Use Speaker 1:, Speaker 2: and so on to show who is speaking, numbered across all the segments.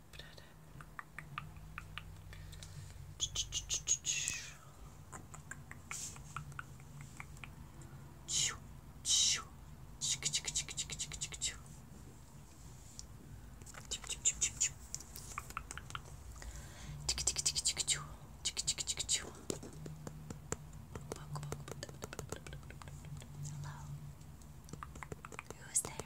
Speaker 1: Hello. Who's there?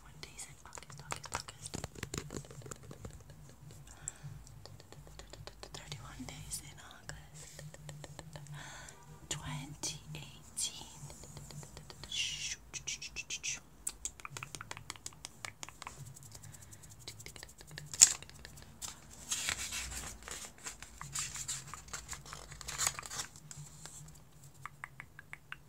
Speaker 1: other one days in August, August, August. 2018.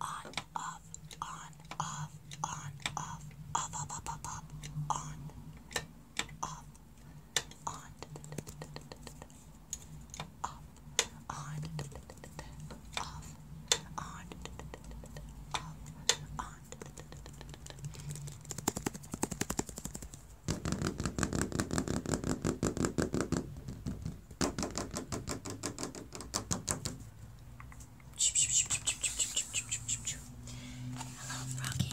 Speaker 2: On, off, on, off, on, off, off, off, off, off, off,
Speaker 1: on, off, on up, on, off, on, off, on. Hello, Froggy.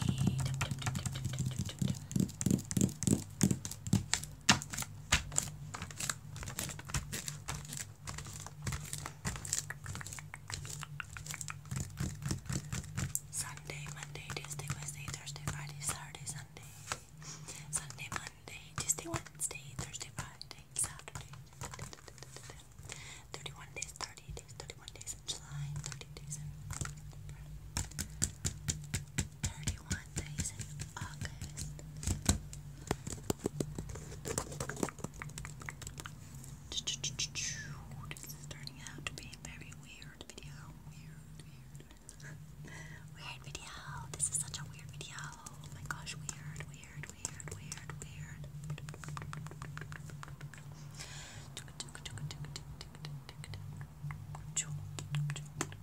Speaker 1: Hello, Froggy. Sunday, Monday, Tuesday, Wednesday, Thursday, Friday, Saturday, Sunday. Sunday, Monday, Tuesday, Wednesday, Thursday, Friday, Saturday. 31 days, 30 days, 31 days in July, 30 days in November. 31 days in August. This is turning out to be a very weird video. Weird, weird. Weird video. This is such a weird video. my gosh, weird, weird, weird, weird, weird.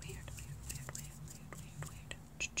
Speaker 2: Weird, weird, weird, weird, weird, weird, weird. What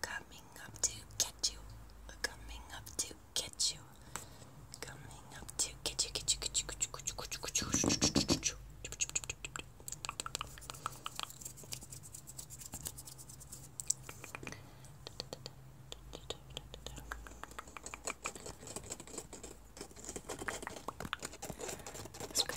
Speaker 1: Coming up to get you. Coming up to get you. Coming up to get you, get you, get you, get you, get you, get you, get you. Let's go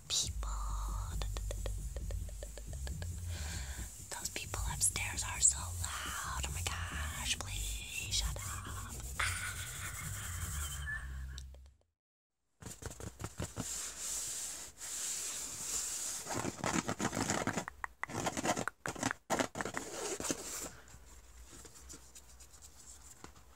Speaker 1: people. Those people upstairs are so loud. Oh my gosh, please shut up.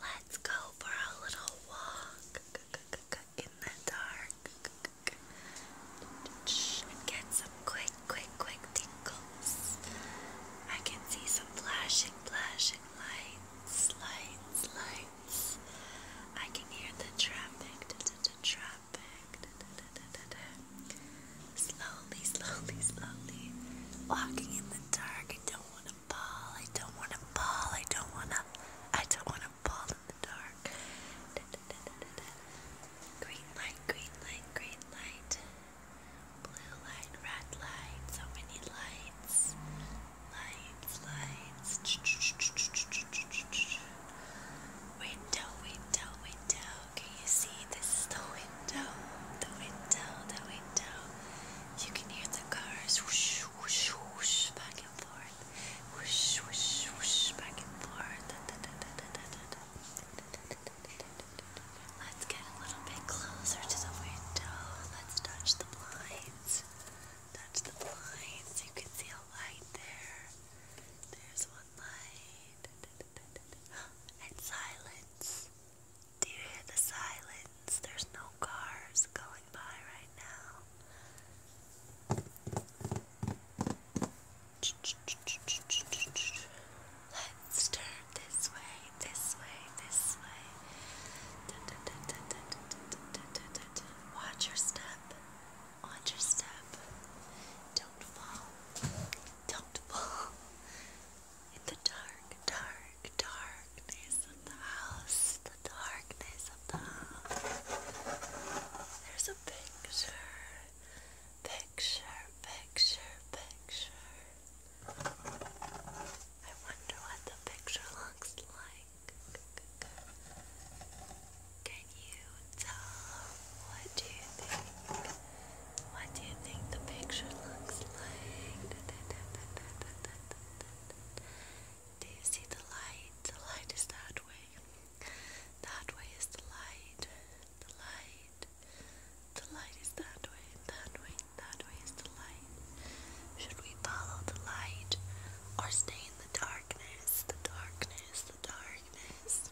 Speaker 1: Let's go for a little walk in the dark get some quick, quick, quick tingles. I can see some flashing, flashing lights, lights, lights. I can hear the traffic, the traffic. Slowly, slowly, slowly. Walking in the dark, I don't want to I don't want to fall. I don't want to. I don't want to fall in the dark. Green light, green light, green light. Blue light, red light. So many lights. Lights, lights. Window, window, window. Can you see? This is the window. The window, the window. You can hear the cars whoosh, whoosh, back and forth. Whoosh, whoosh, whoosh, back and forth. Da, da, da, da, da, da, da. Let's get a little bit closer to the window. Let's touch the blinds. Touch the blinds. You can see a light there. There's one light. And silence. Do you hear the silence? There's no cars going by right now. Let's turn this way, this way, this way. Watch your step. Watch your step. Don't fall. Don't fall. In the dark, dark darkness of the house, the darkness of the house. There's a picture, picture, picture, picture. I wonder what the picture looks like. Can you tell what do you think? What do you think the picture looks like? Do you see the light? The light is that way. That way is the light. The light. The light is that way. That way. That way is the light. Should we follow the light or stay in the darkness? The darkness. The darkness.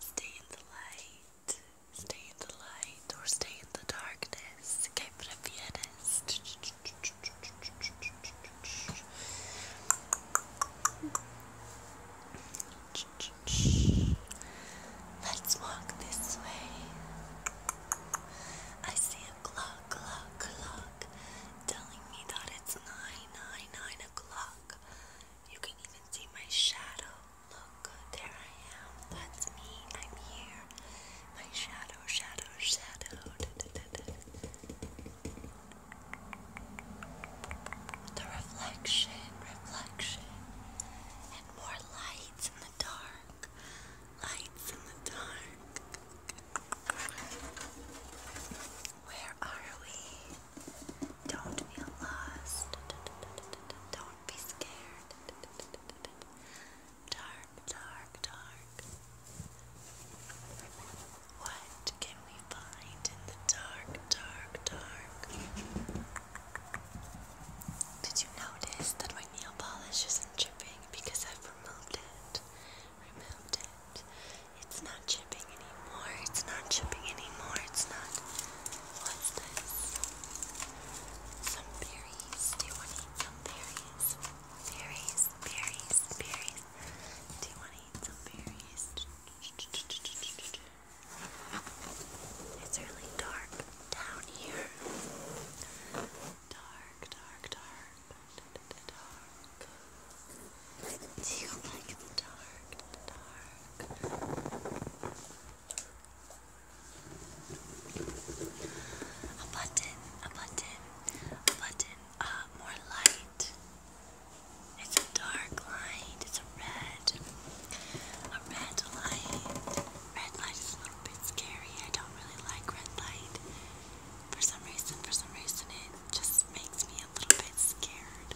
Speaker 1: Stay in the light. Stay in the light or stay in the darkness. ¿Qué Let's walk this way. I see a clock, clock, clock telling me that it's 9, 9, 9 o'clock. You can even see my shadow. Look, there I am. That's me. I'm here. My shadow, shadow, shadow. The reflection, reflection, and more lights in the dark. Lights in the dark. Where are we? Don't feel lost. Don't be scared. Dark, dark, dark. What can we find in the dark, dark, dark? Did you notice that my nail polish isn't chipping because I've removed it? Removed it. It's not chipping anymore. It's not chipping anymore. It's not. What's this? Some berries. Do you want some berries? Berries, berries, berries. Do you want to eat some berries? It's really dark down here. Dark, dark, dark. Do you like the dark? Dark. A button, a button, button uh, more light. It's a dark light. It's a red. A red light. Red light is a little bit scary. I don't really like red light. For some reason, for some
Speaker 2: reason, it just makes me a little bit scared.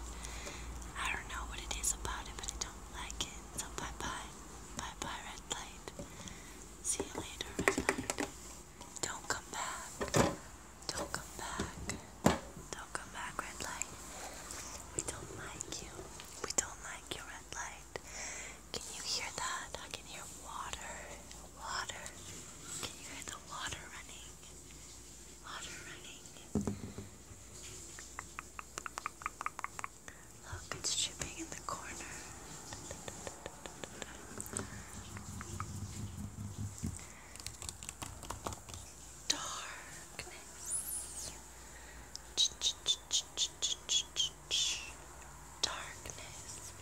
Speaker 2: I don't know what it is about it, but I don't like it. So bye bye. Bye bye, red
Speaker 1: light. See you later, red light. Don't come back. Don't come back. Don't come back, red light. We don't like you. We don't like you, red light. Can you hear that? I can hear water. Water. Can you hear the water running? Water running. Look, it's dripping in the corner. Darkness. Darkness.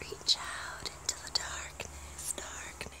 Speaker 1: Reach out into the darkness, darkness.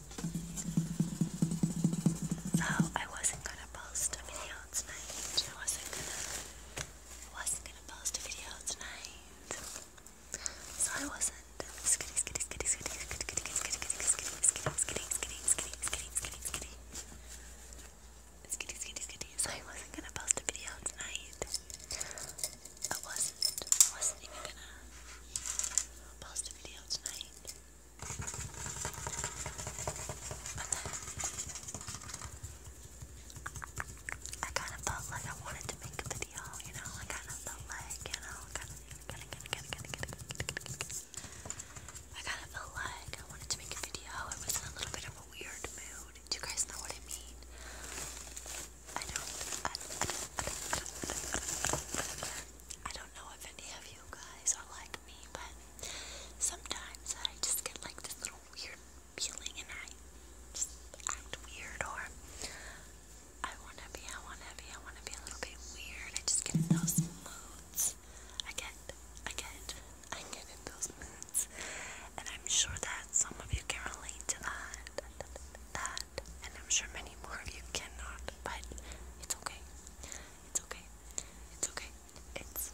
Speaker 1: So I wasn't gonna post a video tonight. wasn't gonna wasn't gonna post a video tonight. So I wasn't so I wasn't gonna post a video tonight. I wasn't I wasn't even gonna post a video tonight. I kind of felt like I wanted to make a video, you know. I kind of felt like, you know, I kind of felt like I wanted to make a video. I was in a little bit of a weird mood. Do you guys know what I mean? I do I don't know if any of you guys are like me, but Sometimes I just get like this little weird feeling and I just act weird or I wanna be, I wanna be, I wanna be a little bit weird. I just get those moods. I get, I get, I get in those moods. And I'm sure that some of you can relate to that. That, and I'm sure many more of you cannot, but it's okay. It's okay. It's okay. It's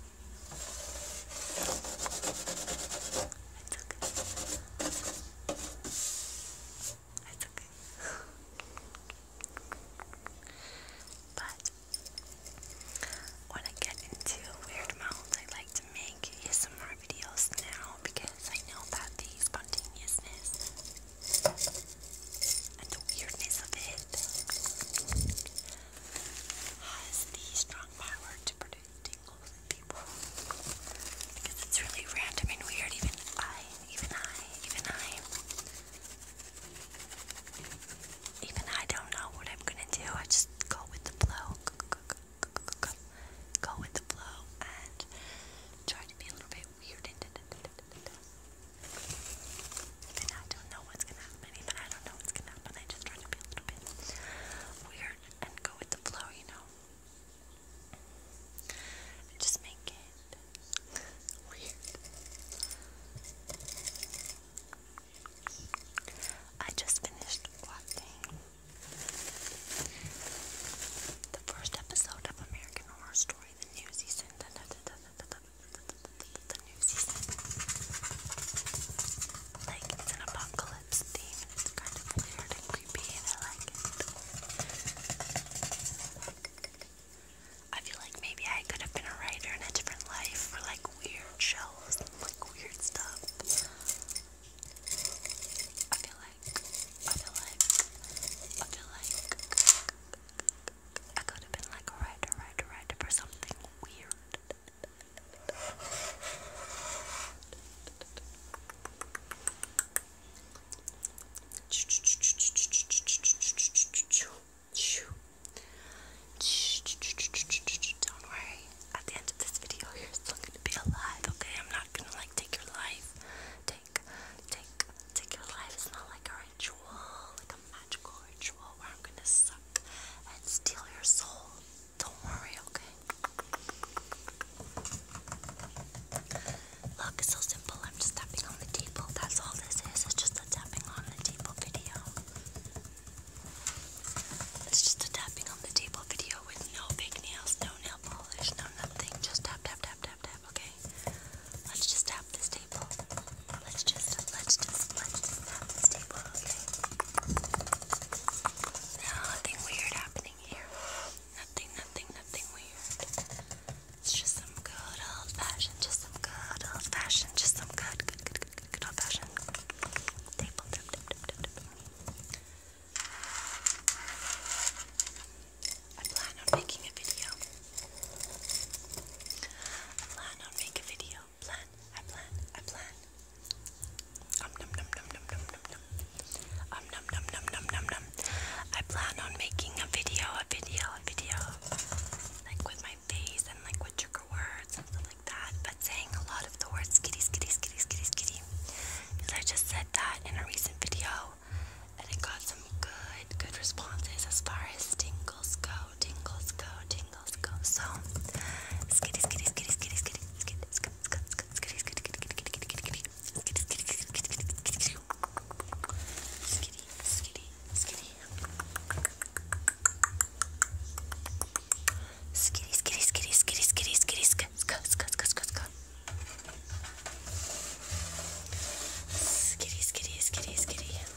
Speaker 1: It's okay. It's okay. but when I get into weird mouths, I like to make ASMR videos now because I know that the spontaneousness and the weirdness of it has the strong power to produce tingles in people because it's really random and weird. Even I, even I, even I, even I don't know what I'm gonna do. I just go with the flow. Go with the flow and try to be a little bit weird I don't know what's gonna happen. I don't know what's gonna happen. I just try to be a little bit weird and go with the flow, you know. just make it weird. I just finished watching the first episode of American Horror Story, the new the new season. Like, an apocalypse theme, and it's kind
Speaker 2: of weird and creepy, and I like I feel like maybe I could have been a writer in a different
Speaker 1: life for like weird shows and like weird stuff. I feel like, I feel like, I feel like, I could have been like a writer, writer, writer for something weird. Don't worry, at the end of this video, you're still gonna be alive, okay? I'm not gonna like take your life. Take, take, take your life. It's not like a ritual, magical ritual where I'm gonna suck and steal your soul. Don't worry, okay? Look, it's so simple. I'm just tapping on the table. That's all this is. It's just a tapping on the table video. It's just a tapping on the table video with no big nails, no nail polish, no nothing. Just tap, tap, tap, tap, tap, okay? Let's just tap this table. Let's just, let's just, let's just tap this table, okay? Nothing weird happening here. Nothing, nothing, nothing weird. It's just some good old fashioned, just some good old fashioned, just some good, good, good, good, good, old fashioned table tap, I plan on making a video I plan on make a video. Plan, I plan, I plan. Um num num num num num num num. Um num num num num num num. I plan on making a video, a video, a video. Like with my face and like with trigger words and stuff like that. But saying a lot of the words kitty, kitty, kitty, kitty, kitty. Because I just said that in a recent video. And it got some good, good responses as far as tingles go tingles go, tingles go. So, skitty, skitty, skitty, skitty, skitty, skitty, skitty, skitty, skitty, skitty, skitty, skitty, skitty, Skitty, skitty, skitty, skitty, skitty, skitty, sk, sk, sk, sk, sk, sk. Skitty, skitty, skitty, skitty.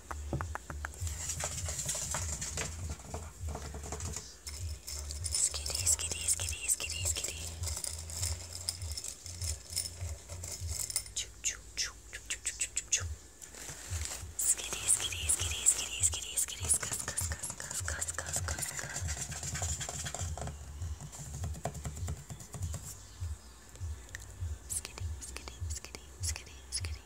Speaker 1: Skitty, skitty, skitty, skitty, skitty. Choo, choo, choo, choo, choo, choo, choo, choo. Skitty, skitty, skitty, skitty, skitty, skitty, skus, skus, skus, skus, skus, skus, skus. Skitty, skitty, skitty, skitty, skitty,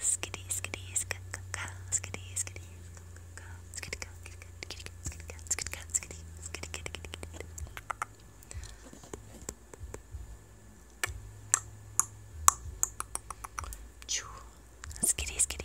Speaker 2: skitty, skitty, skitty, skitty, skitty, skitty,
Speaker 1: skitty, skitty, skitty, skitty, Skitty, skitty.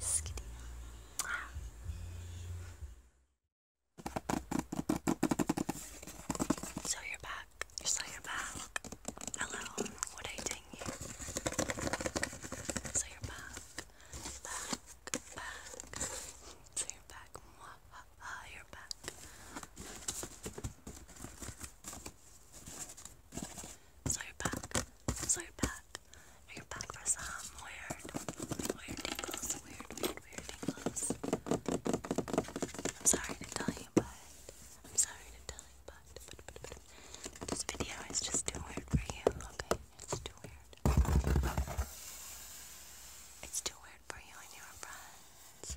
Speaker 1: Skitty. So you're back. So you're back. Hello. What I ding you. So you're back. Back. Back. So you're back. Mwah, ha, you're back. So you're back. So you're back. Are back for some weird, weird tingles? Weird, weird, weird tingles. I'm sorry to tell you, but I'm sorry to tell you, but, this video is just too weird for you. Okay, it's too weird. It's too weird for you and your friends.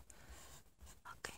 Speaker 1: Okay,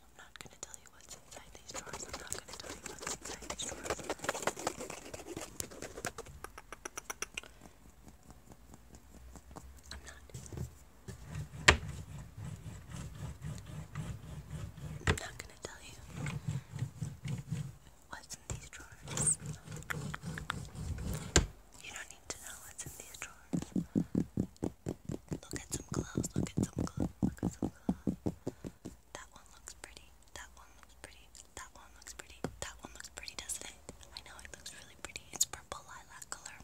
Speaker 1: you, I'm not gonna tell you what's inside these drawers. I'm not gonna tell you what's inside these drawers. I'm not. I'm not gonna tell you what's in these drawers. You don't need to know what's in these drawers. Look at some gloves, look at some gloves, look at some gloves. That one looks pretty. That one looks pretty. That one looks pretty. That one looks pretty, doesn't it? I know it looks really pretty. It's purple lilac color.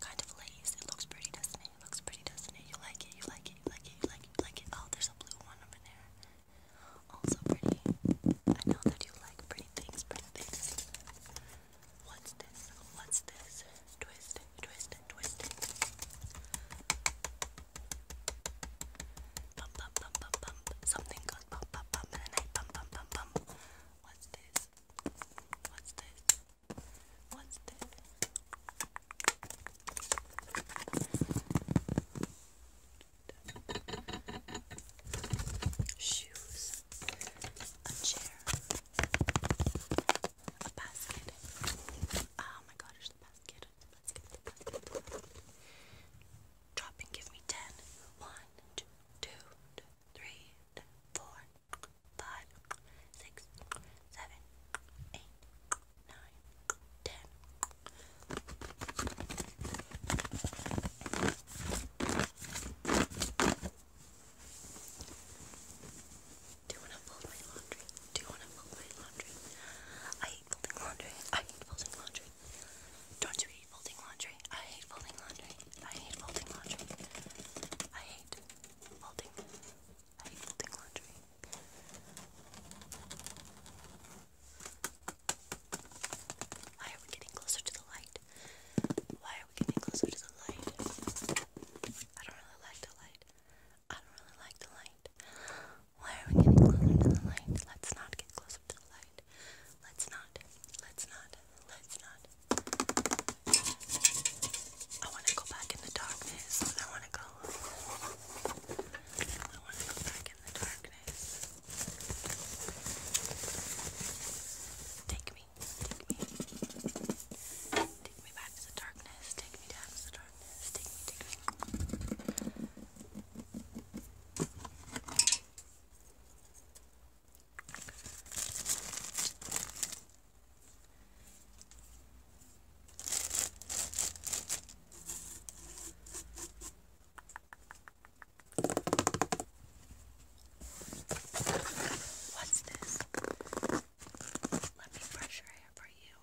Speaker 1: Kind of lace. It looks pretty, doesn't it? It looks pretty, doesn't it? You like it, you like it, you like it, you like it, you like it. Oh, there's a blue one over there. Also pretty. I know that you like pretty things, pretty things. What's this? What's this? Twist, twist, twist, twist. Pump, pump, pump, pump, pump. Something goes pump, pump, pump, and then pump, pump, pump, pump. What's this? What's this? What's this? Shoes, a chair, a basket. Oh my gosh, the The basket, the basket. Drop and give me ten. One, two, two, three, four, five, six, seven, eight, nine, ten. Do you want to fold my laundry? Do you want to fold my laundry? I hate folding laundry. I hate folding laundry. Don't you hate folding laundry? I hate folding laundry. I hate folding laundry. I hate folding. I hate folding laundry. Why are we getting closer to the light? Why are we getting closer to the light? I don't really like the light. I don't really like the light. Why are we getting closer to the light? Let's not get closer to the light. Let's not. Let's not. Let's not. I want to go back in the darkness. I want to go. I want to go back in the darkness. Take me. Take me. Take me back to the darkness. Take me down to the darkness. Take me, take me. What's this? Let me brush your hair for you.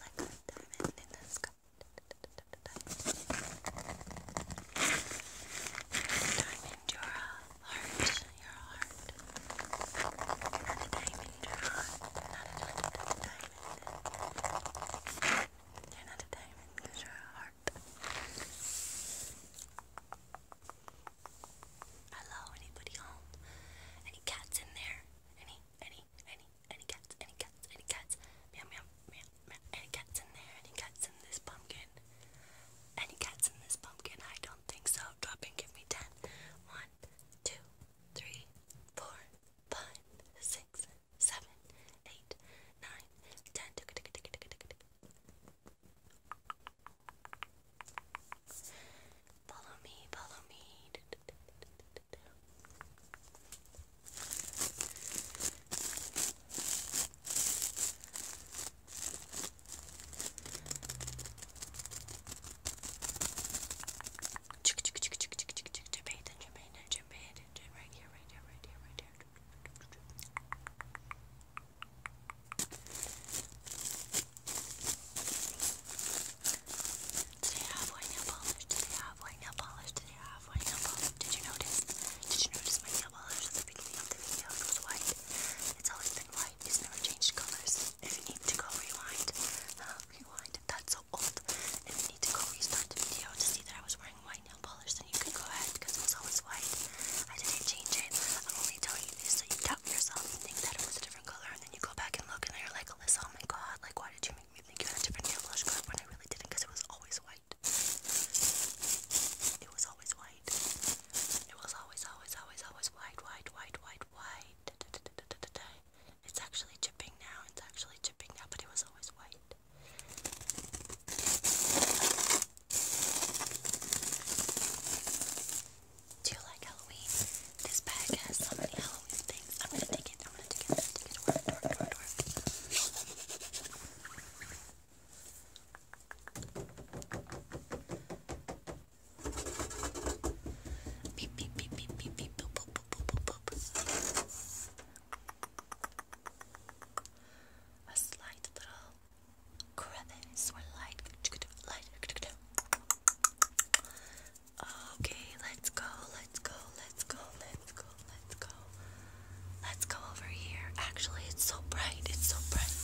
Speaker 1: like a diamond in the sky. Diamond, your heart, your heart. Diamond, your heart. Not a diamond. You're not a diamond because you heart. Hello, anybody home? Any cats in there? Any, any, any, any, any cats, any cats, any cats, meow, meow, meow, meow, any cats in there, any cats in this pumpkin, any cats in this pumpkin, I don't think so, drop and give me ten, one, two, three, four, five, six, seven, eight, nine, ten, Follow me, follow me. Pay attention, pay attention, pay attention. Right here, right here, right here, right here. Do they have white nail polish? Do they have white nail polish? Do they have white nail polish? Did you notice? Did you notice my nail polish at the beginning of the video? It was white. It's always been white. It's never changed colors. If you need to go rewind, uh, rewind. That's so old. If you need to go restart the video to see that I was wearing white nail polish, then you can go ahead because it was always white. I didn't change it. I'm only telling you this so you doubt yourself and think that it was a different color, and then you go back and look, and then you're like, Alyssa, oh my god, like why did you to think you had a different nail polish color when I really didn't it was always white. It was always white. It was always, always, always, always white, white, white, white, white. It's actually chipping now. It's actually chipping now, but it was always white. Do you like Halloween? This bag has so many Halloween things. I'm gonna take it. I'm gonna take it. I'm gonna take it. Work, work, work, work. Beep beep beep beep beep beep boop boop boop boop boop boop. A slight little crevice or light light Okay, let's go, let's go, let's go, let's go, let's go. Let's go over here. Actually, it's so bright, it's so bright.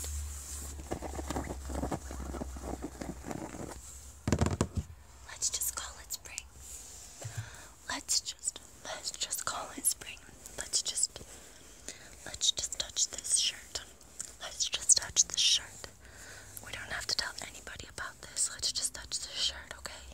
Speaker 1: Let's just call it spring. Let's just let's just call it spring. Let's just let's just touch this shirt. Let's just touch this shirt. We don't have to tell anybody about this. Let's just touch this shirt, okay?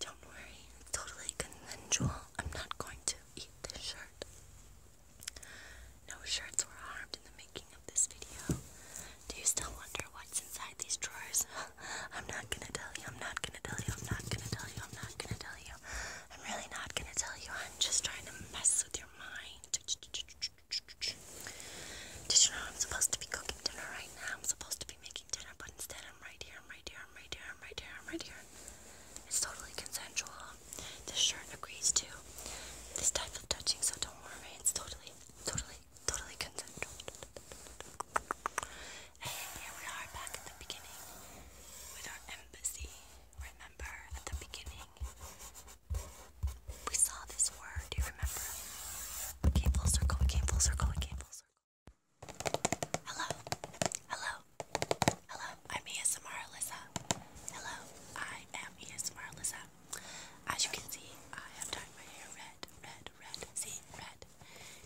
Speaker 1: Don't worry, it's totally consensual. I'm not going to eat this shirt. No shirts were harmed in the making of this video. Do you still wonder what's inside these drawers? I'm not gonna tell you, I'm not gonna tell you, I'm not gonna tell you, I'm not gonna tell you. I'm really not gonna tell you. I'm just trying to mess with your mind. Did you know I'm supposed to be cooking dinner right now? I'm supposed to be making but instead I'm right here, I'm right here, I'm right here, I'm right here, I'm right here. It's totally consensual. This shirt agrees too. this type of touching, so don't worry. It's totally, totally, totally consensual. And here we are back at the beginning with our embassy. Remember at the beginning we saw this word. Do you remember? We full circle. We full circle. We full circle. Hello. Hello. Hello. I'm ASMR Alyssa. Hello. I am ASMR Alyssa. As you can see, I have dyed my hair red, red, red. See, red.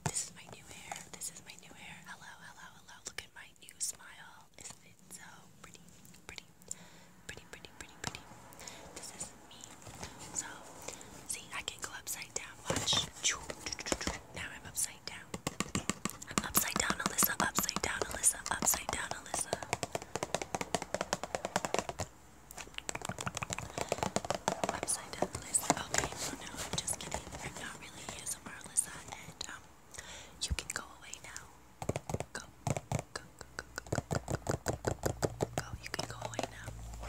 Speaker 1: This is my new hair. This is my new hair. Hello, hello, hello. Look at my new smile. Isn't it so pretty? Pretty. Pretty, pretty, pretty, pretty. So, see, I can go upside down. Watch. Now I'm upside down. I'm upside down, Alyssa. Upside down, Alyssa. Upside down, Alyssa. Okay, so no, I'm just kidding. I'm not really ASMR, Alyssa. And, um, you can go away now. go, go,
Speaker 2: go, go, go, go. You can go away now.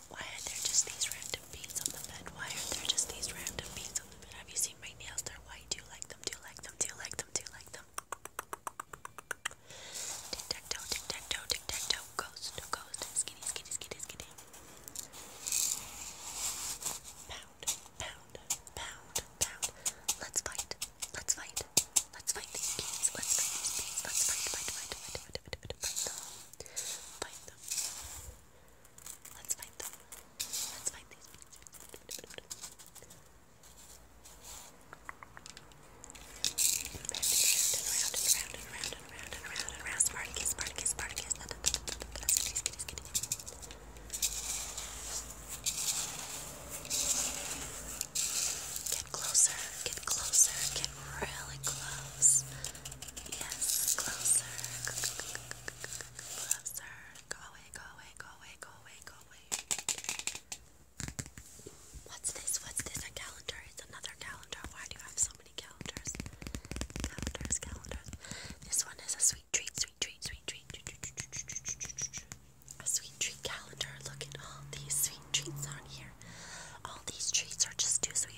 Speaker 1: Why are there just these random beads on the bed? Why are there just these random beads on the bed? Have you seen my nails? They're white. Do you like them? Do you like them? Do you like them? Do you like them? Tic tac toe, tic tac toe, tic tac toe, ghost, ghost, skinny, skinny, skinny, skinny. Pound,
Speaker 2: pound, pound, pound. Let's fight. Let's fight. Let's fight these beads. Let's fight these beads. Let's fight, fight, fight, fight, fight, fight, fight, fight, fight, fight them. Fight them. Let's find them. Let's find these.
Speaker 1: Get closer,
Speaker 2: get closer, get really close. Yes, closer. Closer. Go
Speaker 1: away, go away, go away, go away, go away. What's this? What's this? A calendar. It's another calendar. Why do you have so many calendars? Calendars, calendars. This one is a sweet treat, sweet treat, sweet treat. A sweet treat calendar. Look at all these sweet treats on here. All these treats are just too sweet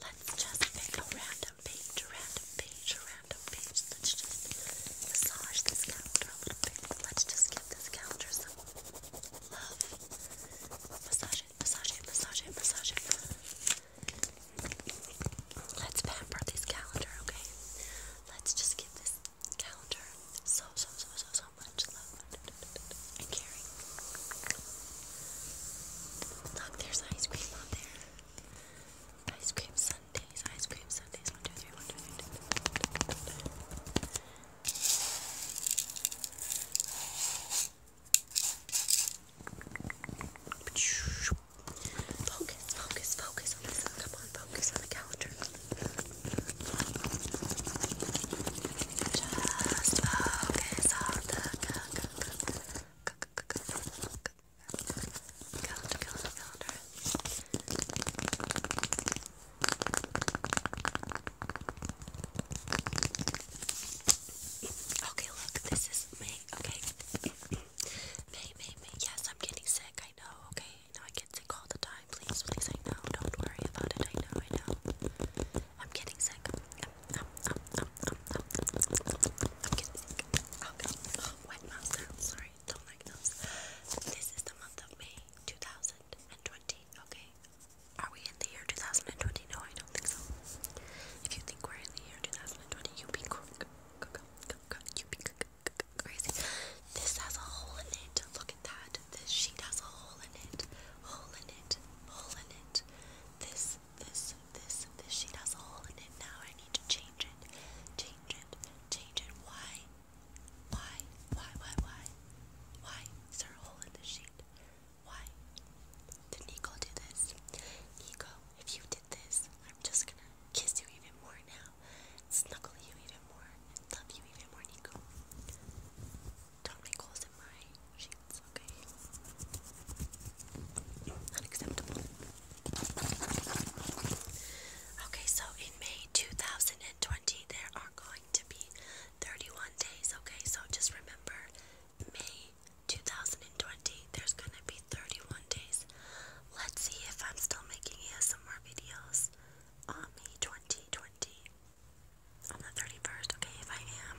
Speaker 1: Let's just pick a random page, a random page, a random page. Let's just massage this calendar a little bit. Let's just give this calendar some love. Massage it, massage it, massage it, massage it. Let's pamper this calendar, okay? Let's just give this calendar so, so, so, so, so much love and caring. Look, there's ice cream on there. Ice cream sundaes, ice cream sundaes. One, two, three, one, two, three, two, three, two, three. Focus, focus, focus on Come on, focus on the calendar. Just focus on the Okay, look, this is me. okay? May, May, May. Yes, I'm getting sick, I know, okay? I I get sick all the time. Please, please, I know. Don't worry about it. I know, I know. I'm getting sick. I'm getting sick. Okay. Oh, wet mouth sounds. Sorry, don't like those. This is the month of May 2020. Okay. Are we in the year 2020? No, I don't think so. If you think we're in the year 2020, you be you be crazy. This has a hole in it. Look at that. This sheet has a hole in it. Hole in it. Hole in it. This this, this, this sheet has a hole in it now. I need to change it, change it, change it. Why? Why? Why? Why? Why? Why is there a hole in the sheet? Why? Did Nico do this? Nico, if you did this, I'm just gonna kiss you even more now, snuggle you even more, and love you even more, Nico. Don't make holes in my okay? Unacceptable. Okay, so in May 2020, there are going to be 31 days, okay? So just remember, May 2020, there's gonna be 31 days. Let's see if I'm still making ASMR videos on May 2020. On the 31st, okay? If I am,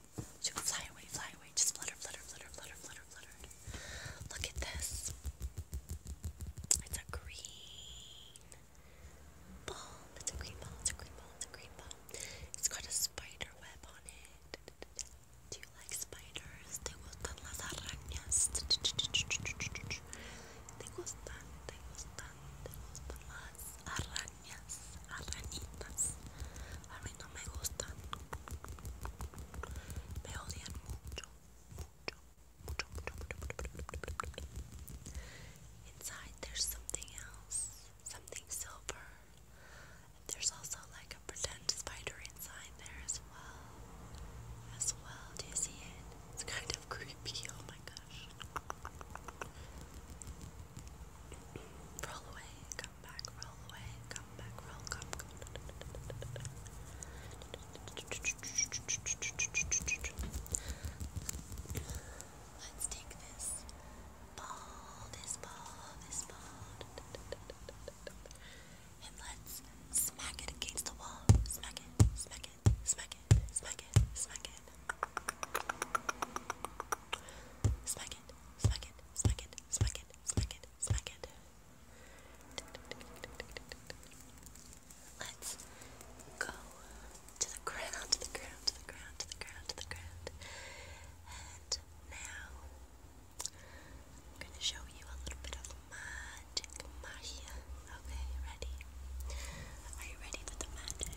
Speaker 1: she fly away, fly away. Just flutter, flutter, flutter, flutter, flutter, flutter. Look at this. It's a green ball. It's a green ball. It's a green ball. It's a green ball. It's got a spider web on it. Do you like spiders? Te gustan las arañas. Te gustan, te gustan, te gustan las arañas. Inside there's something else, something silver. there's also like a pretend spider inside there as well. As well, do you see it? It's kind of creepy. Oh my gosh. Roll away, come back, roll away, come back, roll, come, come. Let's take this ball, this ball, this ball, and let's smack it against the wall. Smack it, smack it, smack it, smack it, smack it.
Speaker 2: Smack smack it, smack it, smack it, smack it, smack it, smack it. Let's go to the ground, to the ground, to the ground, to the ground, to the ground. And now I'm gonna
Speaker 1: show you a little bit of magic magia. Okay, ready? Are you ready for the magic?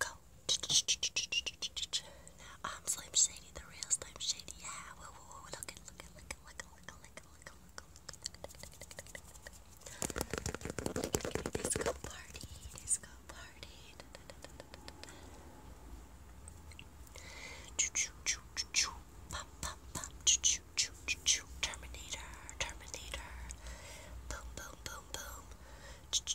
Speaker 1: Go. Now I'm Slim Shady, the real Slim Shady. Yeah. Whoa, whoa, whoa. Look at, look at, look at, look at, look at, look at, look party, Choo choo choo choo choo. Pop pop pop. Choo choo choo choo choo. Terminator, Terminator. Boom boom boom boom. Okay,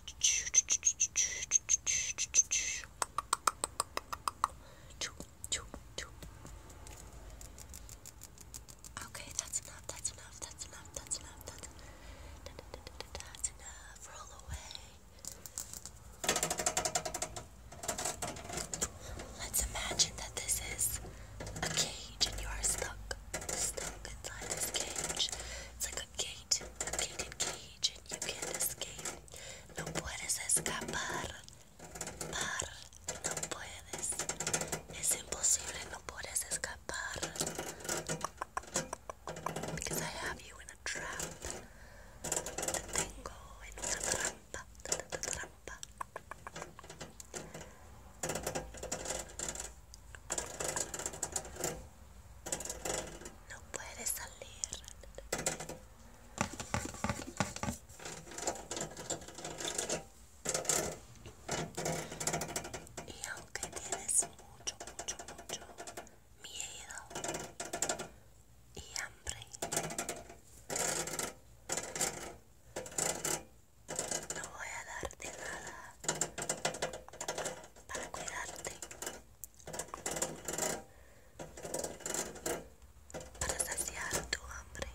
Speaker 1: that's enough, that's enough, that's enough, that's enough, that's enough, roll away. Let's imagine that this is a cage and you are stuck, stuck inside this cage. It's like Cage, gate, cage, and you can't escape. No puedes escapar, par, no puedes. Es imposible, no puedes escapar. Because I have you in a trap. Te tengo en una trampa, trampa. No puedes salir. Y aunque tienes mucho, mucho, mucho miedo y hambre, no voy a darte nada para cuidarte, para saciar tu hambre.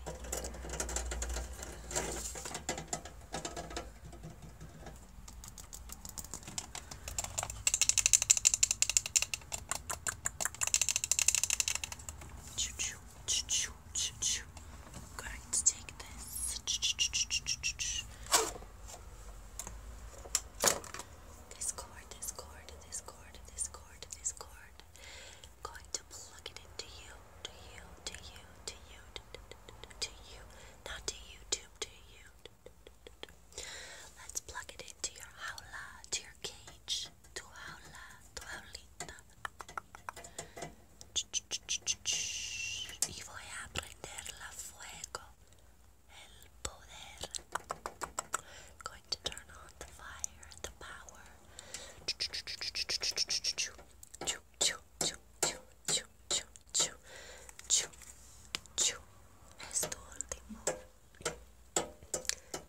Speaker 1: Going to take this this cord, this cord, this cord, this cord, this cord. I'm going to plug it into you, to you, to you, to you, to, to, to you, not to YouTube, to you. Let's plug it into your howla, to your cage, to howla, to howlita. Y voy a prender la fuego. El poder. Going to turn on the fire and the power. Es tu último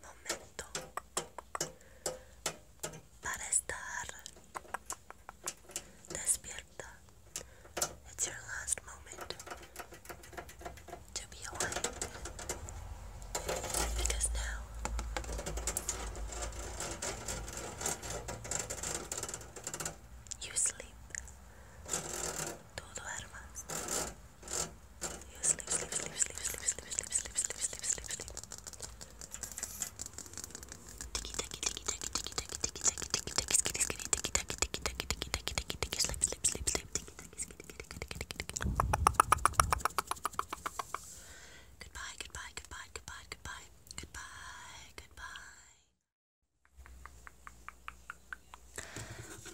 Speaker 1: momento para estar despierto. It's your last moment to be awake. Because now you sleep. Tú duermas. You sleep, sleep, sleep, sleep, sleep, sleep, sleep, sleep, sleep, sleep, sleep, sleep. Tiki, tiki, tiki, tiki, tiki, Goodbye goodbye goodbye goodbye goodbye goodbye goodbye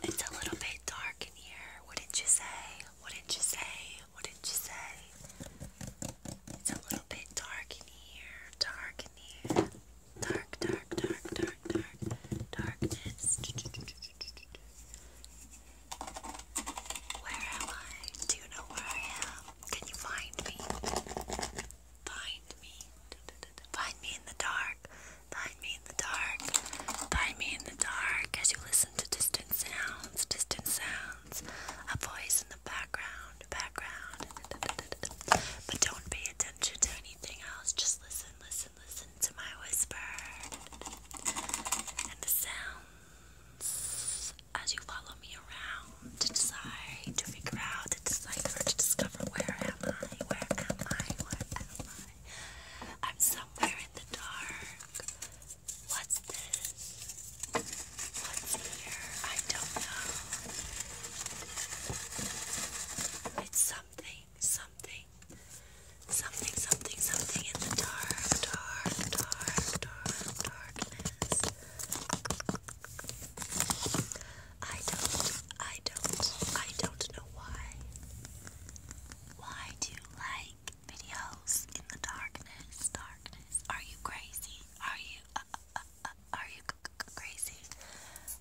Speaker 1: It's a little bit dark in here What did you say What did you say What did you say it's a little bit dark in here dark in here dark, dark, dark, dark, dark, darkness. Where am I? Do you know where I am? Can you find me? Find me. Find me in the dark. Find me in the dark. Find me in the dark as you listen to distant sounds, distant sounds, a voice in the background background, but don't pay attention to anything else. Just listen, listen, listen to my whisper and the sounds as you follow me around to decide, to figure out, to decide, to discover where am I, where am I, where am I? I'm somewhere in the dark. What's this? What's here? I don't know. It's something, something, something, something, something in the dark, dark, dark, dark, darkness. I don't, I don't, I don't know why. Why do like videos in the darkness, darkness? Are you crazy? Are you, uh, uh, are you crazy?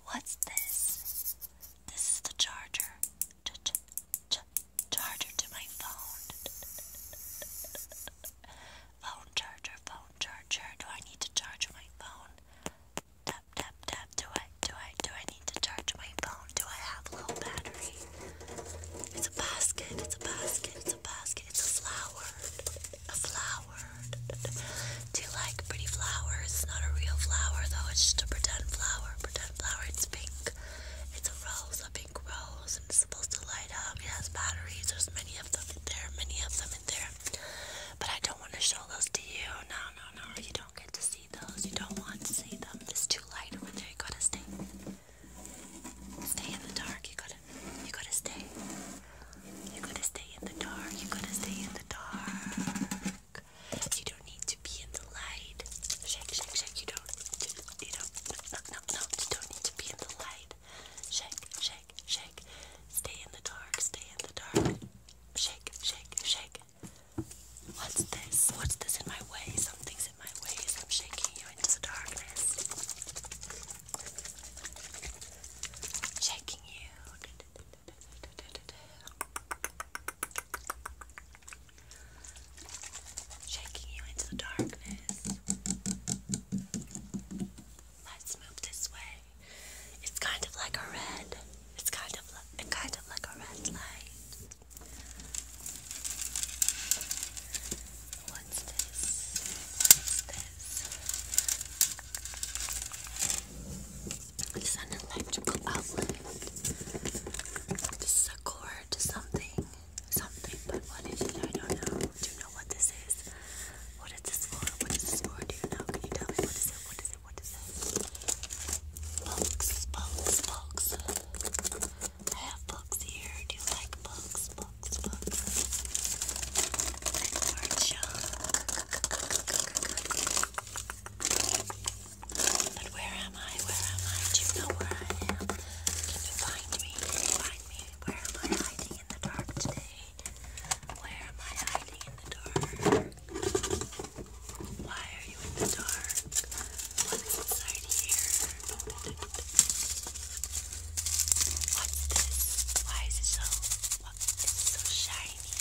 Speaker 1: What's this? This is the charger. charger to my phone. phone charger, phone charger. Do I need to charge my phone? Tap, tap, tap. Do I, do I, do I need to charge my phone? Do I have a low battery? It's a basket, it's a basket, it's a basket, it's a flower a flower. Do you like pretty flowers? It's not a real flower though, it's just a pretend flower. Pretend flower, it's pink. It's a rose, a pink rose, and it's supposed to light up. It has batteries. There's many of them in there, many of them in there. But I don't want to show those to you. No, no, no. You don't get to see those. You don't want to see them. It's too light over there. You gotta stay. Stay in the dark. You gotta you gotta stay. You gotta stay in the dark. You gotta stay in the dark. You don't need to be in the light. Shake, shake, shake. You don't. You don't. No, no, no. You don't need to be in the light. Shake, shake, shake. Stay in the dark. Stay in the dark. Shake, shake, shake. What's this? What's this in my way? Something's in my way. I'm shaking you into the darkness. Shaking you. Shaking you into the darkness. Let's move this way. It's kind of like a red. It's kind of like kind of like a red light. What's this? this? It's an electrical outlet. This is a cord something.
Speaker 2: Something, but what is it? I don't know. Do you know what this is? What is this for? What is this for? Do you know? Can you tell me what is it? What is it? What is it? Books, books, books. I have books here. Do you like books? Books, books. Or junk. But where am I? Where am I? Do you know where I am? Can you me? Can me? Where am I hiding in the dark today? Where am I hiding in the dark? Why are you in the dark? What's inside here? What's
Speaker 1: Why is it so? What? It's so shiny.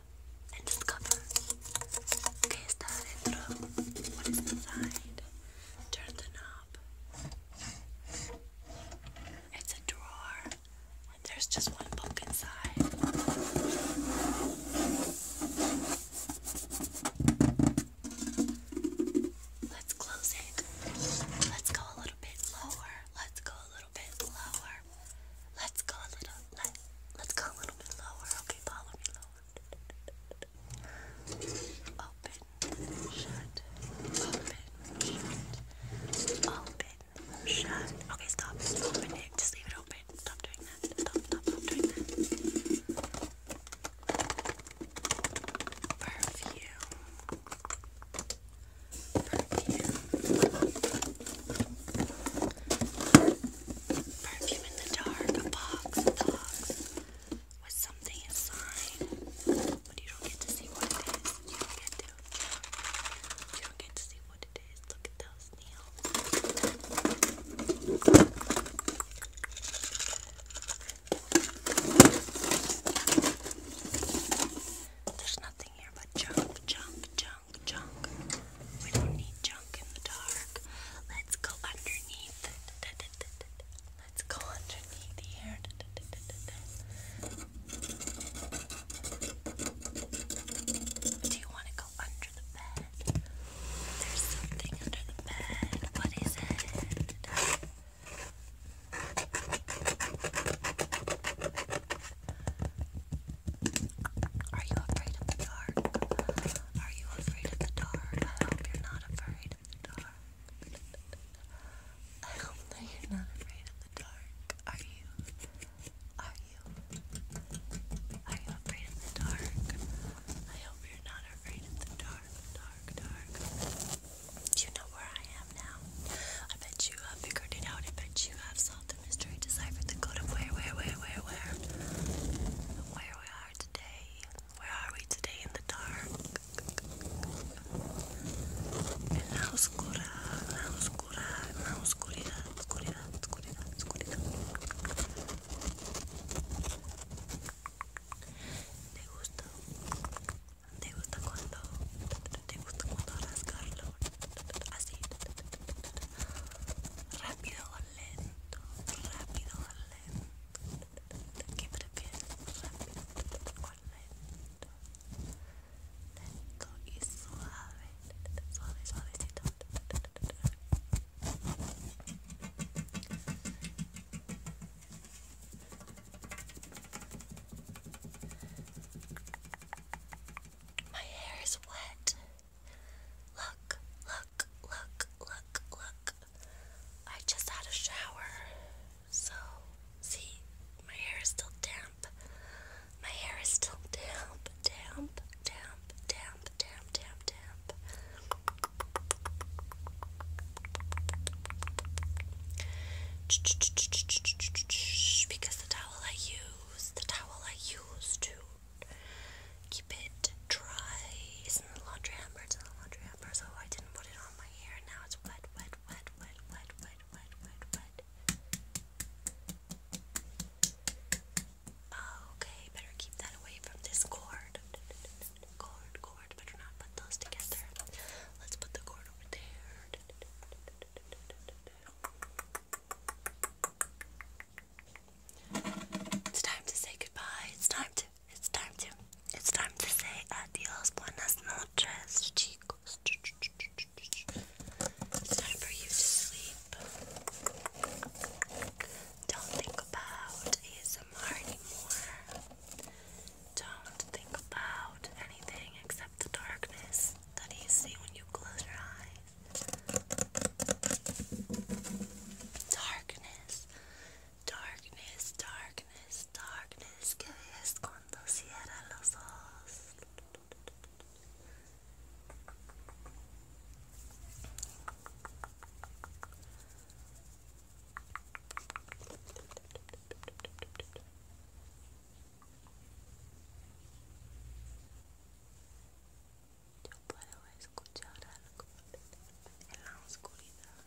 Speaker 1: and discover. Okay, está adentro. What is inside? Turn the knob. It's a drawer, there's just one book inside. Let's close it. Let's go a little bit lower. Let's go a little bit lower. Let's go a little let, let's go a little bit lower. Okay, follow me lower. Open, shut, open, shut, open, shut. Okay, stop. open it. Just leave it open. Stop doing that. Stop, stop, stop doing that. Perfume. Perfume. Perfume in the dark, a box, a box with something inside, but you don't get to see what it is. You don't get to. You don't get to see what it is. Look at those nails. There's nothing here but jump, jump, jump junk, junk. We don't need junk in the dark. Let's go underneath. Let's go underneath here. Do you want to go under the bed? There's something under the bed. What is it? Are you afraid of the dark? Are you afraid of the dark? I hope you're not afraid of the dark. I hope that you're not afraid of the dark. Are you? Are you? Are you afraid of the dark? I hope you're not afraid of the dark, dark, dark. you know where I am now? I bet you have figured it out. I bet you have solved mystery decipher the code of where, where, where, where, where, where we are today. Where are we today in the dark? En la oscura, en la oscura, en la oscuridad, oscuridad, oscuridad, oscuridad. ¿Te gusta? ¿Te gusta cuando? ¿Te gusta cuando rascarlo? Así. Rápido, lento, rápido lento. ¿Qué prefieres? Rápido o lento. Lento y suave. Suave, suavecito. My hair is wet. Look, look, look, look, look. I just had a shower. So, see, my hair is still damp. My hair is still damp, damp, damp, damp, damp, damp, damp. Because the towel I use, the towel I use to keep it dry. It's in the laundry hamper, it's in the laundry hamper, so I didn't put it on my hair. Now it's wet, wet, wet, wet, wet, wet, wet, wet, wet. Okay, better keep that away from this cord. Cord, cord, better not put those together. Let's put the cord over there. It's time to say goodbye. It's time to. It's time to. It's time to say adios, buenas noches, chicos. It's time for you to sleep. Don't think about ASMR anymore. Don't think about anything except the darkness that you see when you close your eyes. Darkness, darkness, darkness, darkness. Que ves cuando cierras los ojos? yo puedo escuchar algo en la oscuridad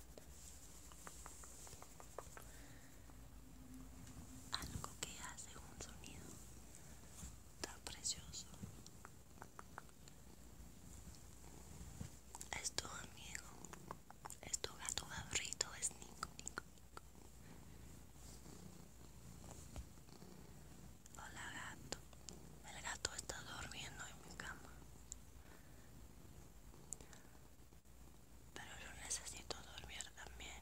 Speaker 1: algo que hace un sonido tan precioso es tu amigo es tu gato favorito es Nico Nico, Hola gato. El gato está durmiendo en mi cama. Pero yo necesito dormir también.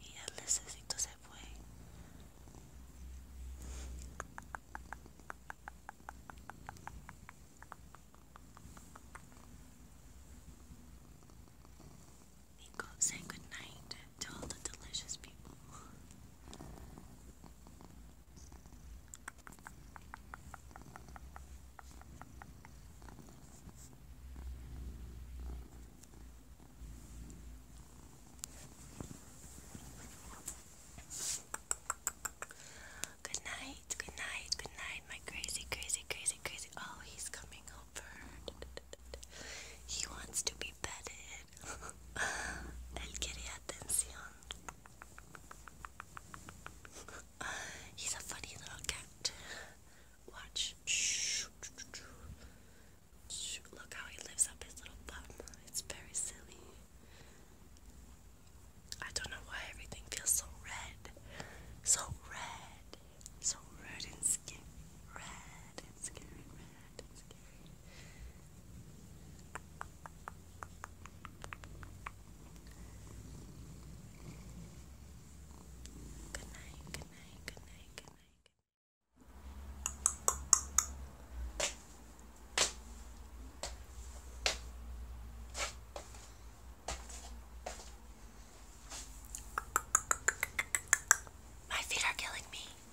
Speaker 1: Y él necesito se fue. Nico, say goodnight to all the delicious people. Good night, good night, good night, my crazy, crazy, crazy, crazy. Oh, he's coming over. He wants to be petted. Él quiere atención. He's a funny little cat. Watch. Look how he lifts up his little bum. It's very silly. I don't know why everything feels so red. So red. So red and skin. Red and skin. Red that is scary. Good night, My feet are killing me.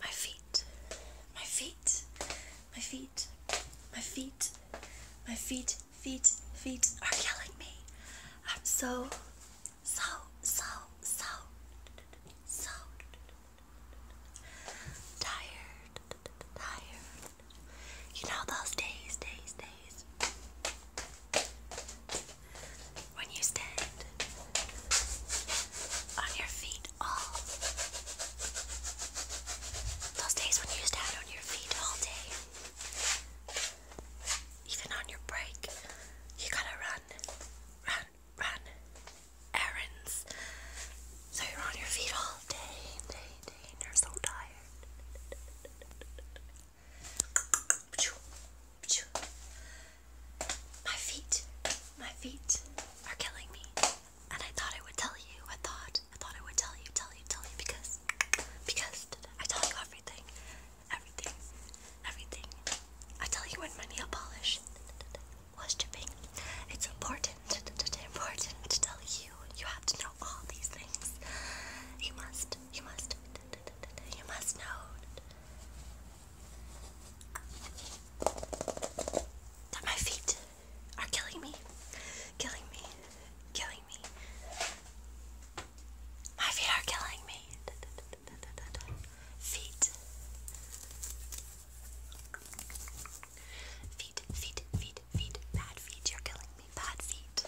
Speaker 1: my feet, my feet, my feet, my feet, my feet, feet, feet are killing me. I'm so, so, so, so, so tired, tired. You know those days, days, days when you stand on your feet all. Those days when you used on your feet all day. Even on your break, you gotta run, run, run errands. So you're on your feet all day, day, day, you're so tired. My feet, my feet are killing me. And I thought I would tell you. I thought, I thought I would tell you, tell you, tell you because, because I tell you everything, everything, everything. I tell you when my nail polish was chipping. It's important, important to tell you. You have to know all these things. You must, you must, you must know my feet are killing me, killing me, killing me. My feet are killing me. Feet, feet, feet, feet. Bad feet, you're killing me. Bad feet.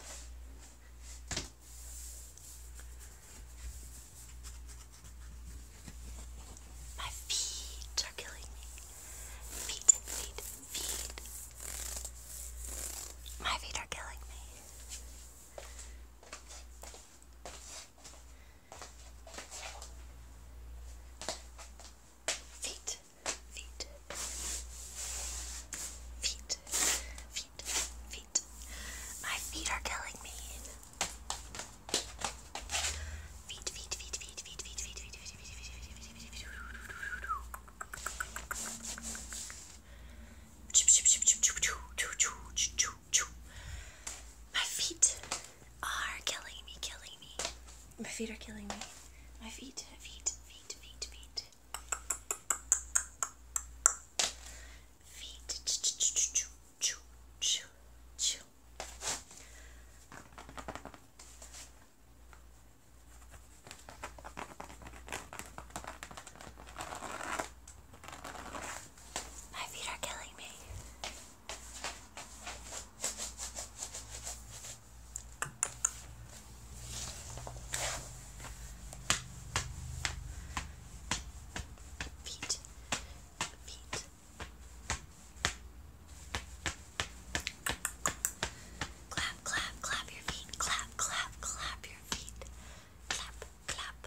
Speaker 1: My feet are killing me. Feet, feet, feet. My feet are killing me. Feet, feet, feet, feet, feet. My feet are killing me. Feet, feet, feet, feet, feet, feet, feet, feet, feet, feet, feet, feet, my feet are killing me, killing me. My feet are killing me. My feet, feet, feet, feet, feet. Feet. Choo, choo, choo, choo, choo, choo. My feet are killing me. Feet, feet, Clap, clap, clap your feet. Clap, clap, clap your feet. Clap, clap.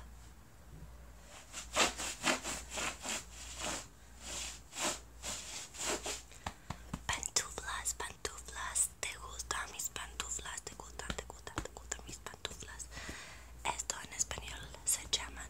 Speaker 1: Pantuflas, pantuflas, te gustan mis pantuflas, te gustan, te gustan, te gustan mis pantuflas. Esto en español se llaman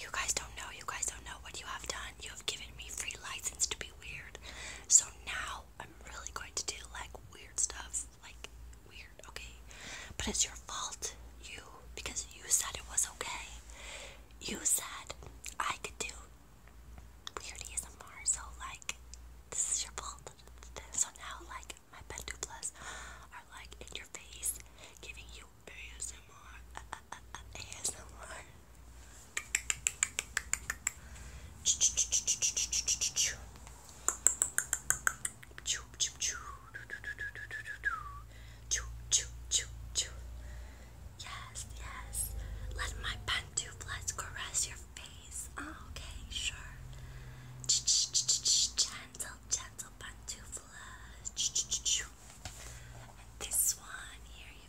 Speaker 1: you guys don't know, you guys don't know what you have done. You have given me free license to be weird. So now I'm really going to do like weird stuff. Like weird, okay? But it's your fault, you, because you said it was okay. You said I could do weird ASMR, so like this is your fault. So now like my Pentu Plus are like in your face, giving you ASMR, uh, uh, uh, uh, ASMR. Yes, yes. Let my pantuflas caress your face. Oh, okay, sure. Gentle, gentle pantuflas. this one here, you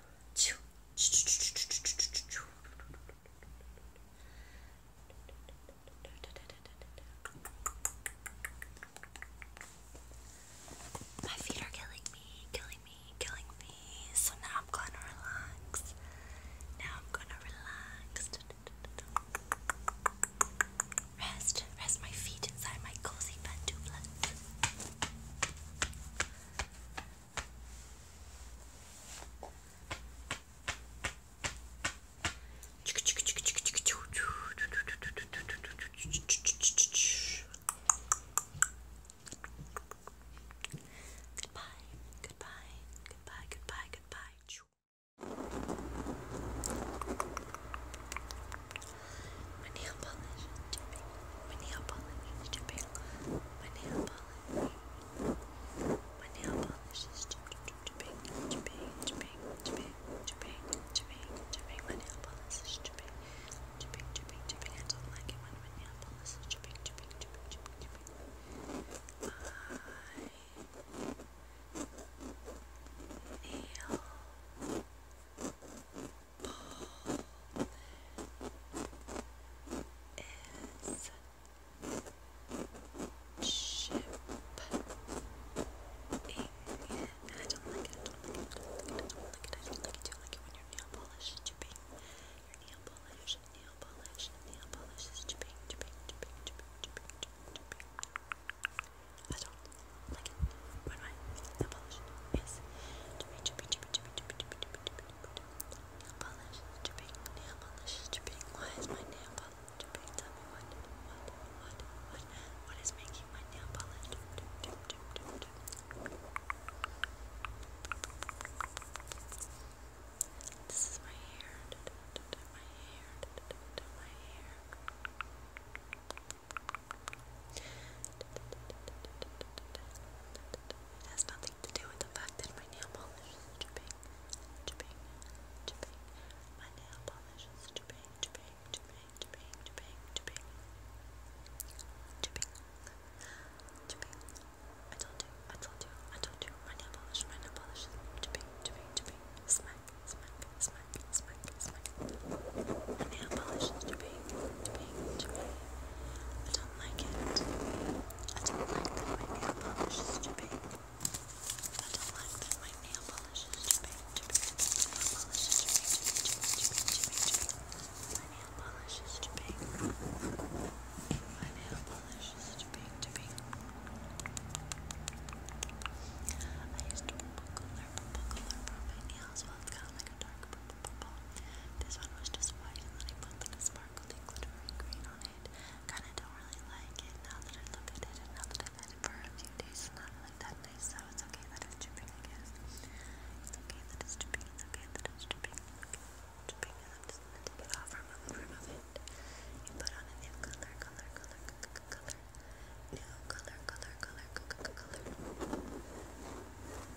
Speaker 1: my feet are killing me, killing me, killing me. So now I'm gonna relax. Now I'm gonna relax. Rest, rest my feet inside my cozy pantuflet. Goodbye, goodbye, goodbye, goodbye, goodbye. My nail polish is dipping. My nail polish is dipping. My nail polish. My nail polish is chipping, chipping, chipping, chipping, chipping, chipping, chipping. My nail polish is chipping, chipping, chipping, chipping. I don't like it when my nail polish is chipping, chipping, chipping, chipping, chipping. My nail is shipping. I don't like it, I don't like it, I don't like it, I don't like it, I don't like it, I don't like it, when your nail polish is chipping. Your nail polish, nail polish, nail polish is chipping, chipping, chipping, chipping, chipping, chipping, chipping. I don't like it when nail polish is chipping, chipping, chipping, chipping, chipping, chipping, chipping, this is my hair, my hair, my hair. It has nothing to do with the fact that my nail polish is chipping, chipping, chipping. My nail polish is chipping, chipping, chipping, chipping, chipping, chipping, chipping. I told you, I told you, I told you. My nail polish, my nail polish is chipping, chipping, chipping. Smack, smack, smack, smack, smack. My nail polish is chipping pink, pink to me. I don't like it. I don't like that my nail polish is too big. I don't like that my nail polish is too big, too big, too big, nail polish is too big, too big, too big, too big, too big, My nail polish is too big. My nail polish is too big, too big. I used purple color, purple color for my nails, well it's kind of like a dark purple. This one was just white, and then I put like sparkly glittery green on it. Kind of don't really like it now that I look at it, and now that I've had it for a few days, not really that nice. So it's okay that it's dripping, I guess. It's okay that it's dripping. It's okay that it's dripping. Dripping, I'm just gonna take it off, remove it, remove it. You put on a new color, color, color, color, color. New color, color, color, color, color.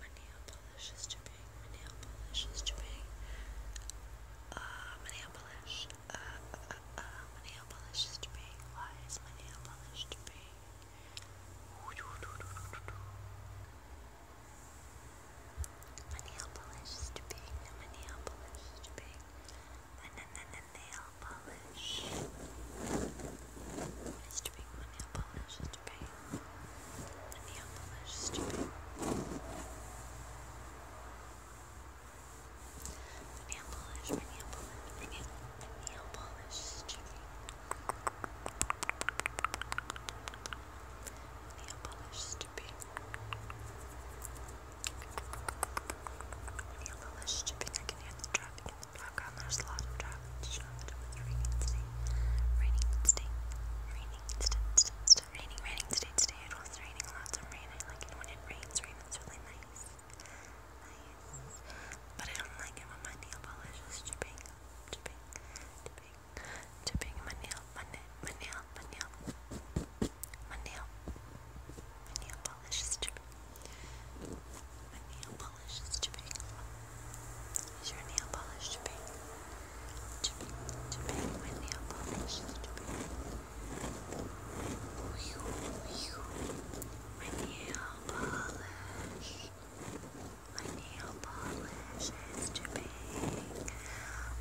Speaker 1: my nail polish is too My nail polish uh, is too big. my nail polish. Uh, uh, uh, my nail polish is too Why is my nail polish too big? My nail polish is too My nail polish is too na na na nail polish. It's too My nail polish is stupid, the nail polish The nail polish, my nail polish, my nail, polish stupid. Nail polish stupid. Nail polish the traffic in Black ground, there's a lot of traffic to show that it was raining today. Raining today. Raining today. Raining, raining today. Today it was raining lots of rain. I like it when it rains. Rain is really nice. Nice. But I don't like it when my nail polish is chipping. Chipping. Chipping. Chipping my nail. My nail. My nail. My nail. My nail. My nail polish is chipping. My nail polish polish is chipping? Is your nail polish chipping? Chipping, chipping, my nail polish is chipping. My nail polish. My nail polish is chipping.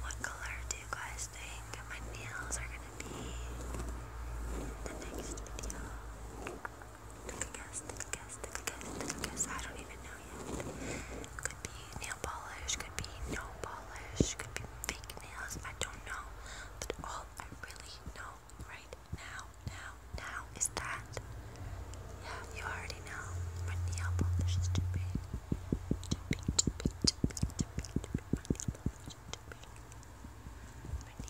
Speaker 1: What color do you guys think my nails are gonna be in the next video? I don't even know yet. Could be nail polish, could be no polish, could be fake nails. I don't know. But all I really know right now, now, now is that. Yeah, you already know. My nail polish is too big. Too big, too big, My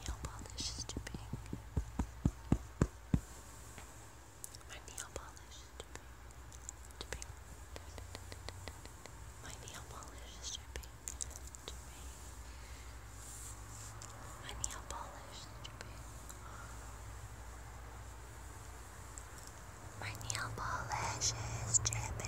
Speaker 1: nail polish is too my nail polish is dripping. Dripping. My nail polish is dripping. Dripping. My nail polish is dripping. My nail polish is dripping.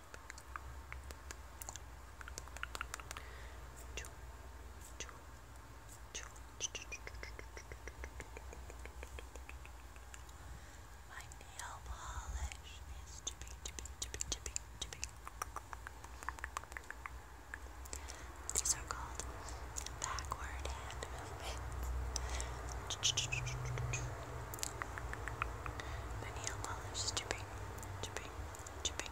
Speaker 1: My nail polish is tipping, tipping, tipping, tipping, tipping. These are called backward hand movements. My nail polish is tipping, tipping, tipping,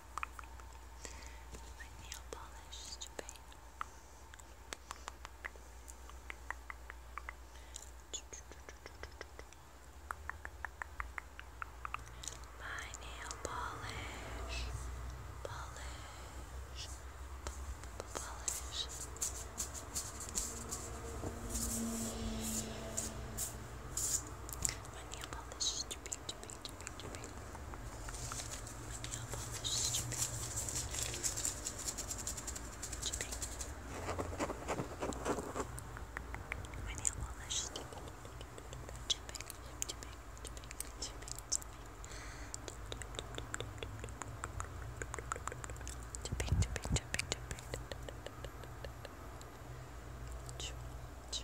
Speaker 1: my nail polish My nail polish, polish, polish. My nail polish Chipping, chipping, chipping, chipping. Let me help all this chipping. Chipping. My nail polish is chipping. Chipping, chipping, chipping, chipping. Chipping, chipping, chipping, chipping. Choo, choo.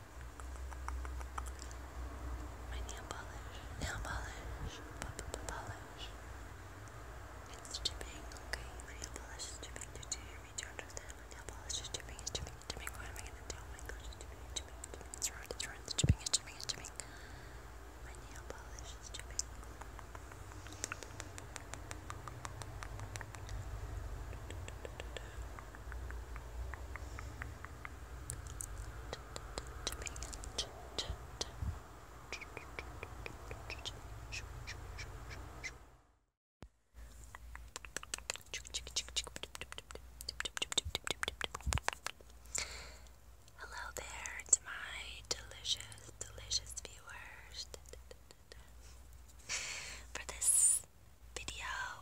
Speaker 1: My nail polish, nail polish, p -p -p polish. It's chipping, okay? My nail polish is chipping. Did you hear me? Do you understand? My nail polish is chipping, it's chipping, it's chipping. What am I gonna do? Oh my gosh, it's chipping, it's chipping, it's chipping. It's ruined, it's ruined, it's chipping, it's chipping, it's chipping. My nail polish is chipping. Hello there to my delicious, delicious viewers. For this video,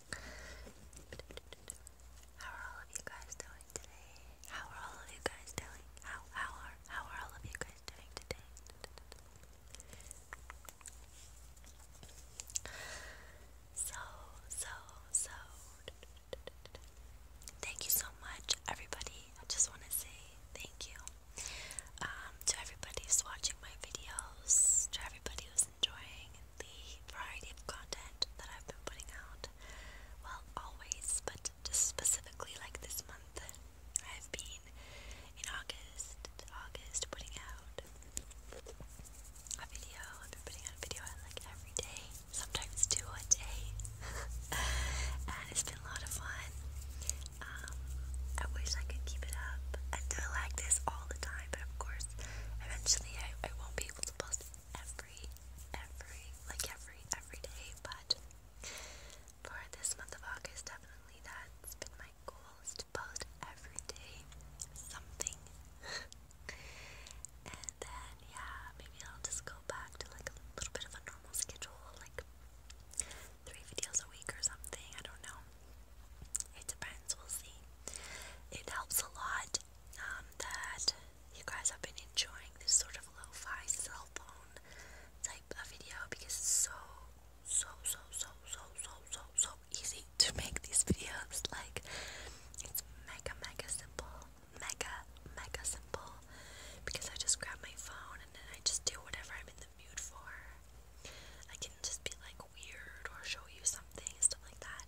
Speaker 1: how are all of you guys doing today? How are all of you guys doing? How how are how are all of you guys doing today? So so so Thank you so much everybody. I just want to say thank you um, to everybody who's watching my videos, to everybody who's enjoying the variety of content that I've been putting out. Well, always, but just specifically like this month, I've been in August, August putting out a video. I've been putting out a video like every day, sometimes two a day, and it's been a lot of fun. Um, I wish I could keep it up and do it like this all the time, but of course, eventually I, I won't be able to post every, every, like every, every day, but for this month of August, definitely that's been my goal is to post every day something. and then, yeah, maybe I'll just go back to like a little bit of a normal schedule, like three videos a week or something. I don't know. It depends, we'll see. It helps a lot um, that you guys have been enjoying this sort of low fi cell phone type of video because it's so, so, so, so, so, so, so, so easy to make these videos. Like, it's mega, mega simple, mega, mega simple because I just grab my phone and then I just do whatever I'm in the mood for. I can just be like weird or show you something, stuff like that.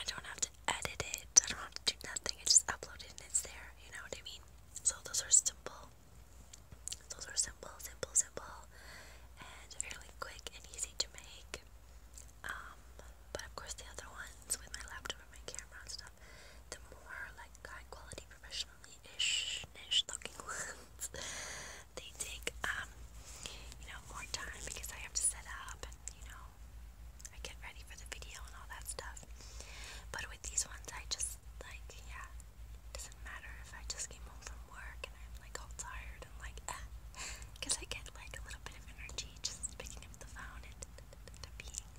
Speaker 1: I don't have to edit it. I don't have to do nothing. I just upload it and it's there. You know what I mean? So those are simple. Those are simple, simple, simple, and fairly quick and easy to make. Um, but of course the other ones with my laptop and my camera and stuff, the more like high quality, professionally ish, ish looking ones, they take um, you know, more time because I have to set up and you know know, I get ready for the video and all that stuff. But with these ones, I just like, yeah, it doesn't matter if I just came home from work and I'm like all tired and like, because eh, I get like a little bit of energy just picking up the phone and being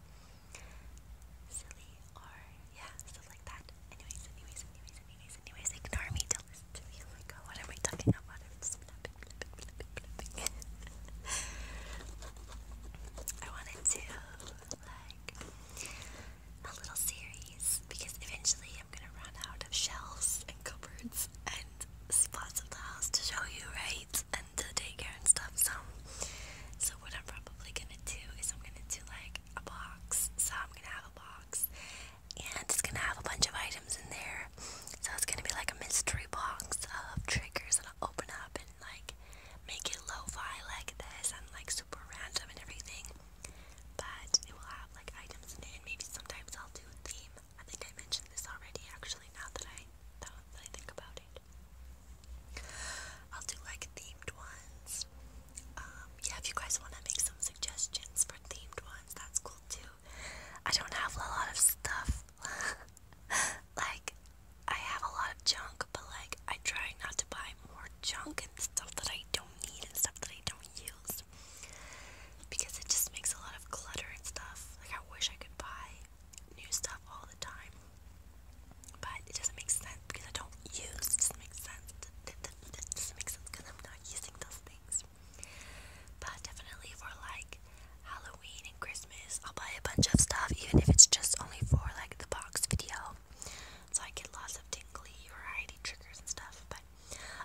Speaker 1: silly or yeah, stuff like that. Anyways, anyways, anyways, anyways, anyways, ignore me. Don't listen to me. Oh my god, what am I talking about? I'm just I wanted to like a little series because eventually I'm gonna run out of shelves and cupboards and spots of the house to show you, right? And the daycare and stuff. So, so what I'm probably gonna do is I'm gonna do like a box. So I'm gonna have a box, and it's gonna have a bunch of items in there so it's gonna be like a mystery box of triggers that I'll open up and like make it lo-fi like this and like super random and everything. But it will have like items in it and maybe sometimes I'll do a theme. I think I mentioned this already actually now that I now that I think about it. I'll do like themed ones. Um, yeah, if you guys want to make some suggestions for themed ones, that's cool too. I don't have a lot of stuff. like, I have a lot of junk, but like, I try not to buy more junk and stuff that I don't need and stuff that I don't use because it just makes a lot of clutter and stuff. Like, I wish I could buy new stuff all the time, but it doesn't make sense because I don't use. It doesn't make sense. It doesn't make sense because I'm not using those things. But definitely for like Halloween and Christmas. I'll buy a bunch of stuff, even if it's just only for like the box video. So I get lots of tingly variety triggers and stuff. But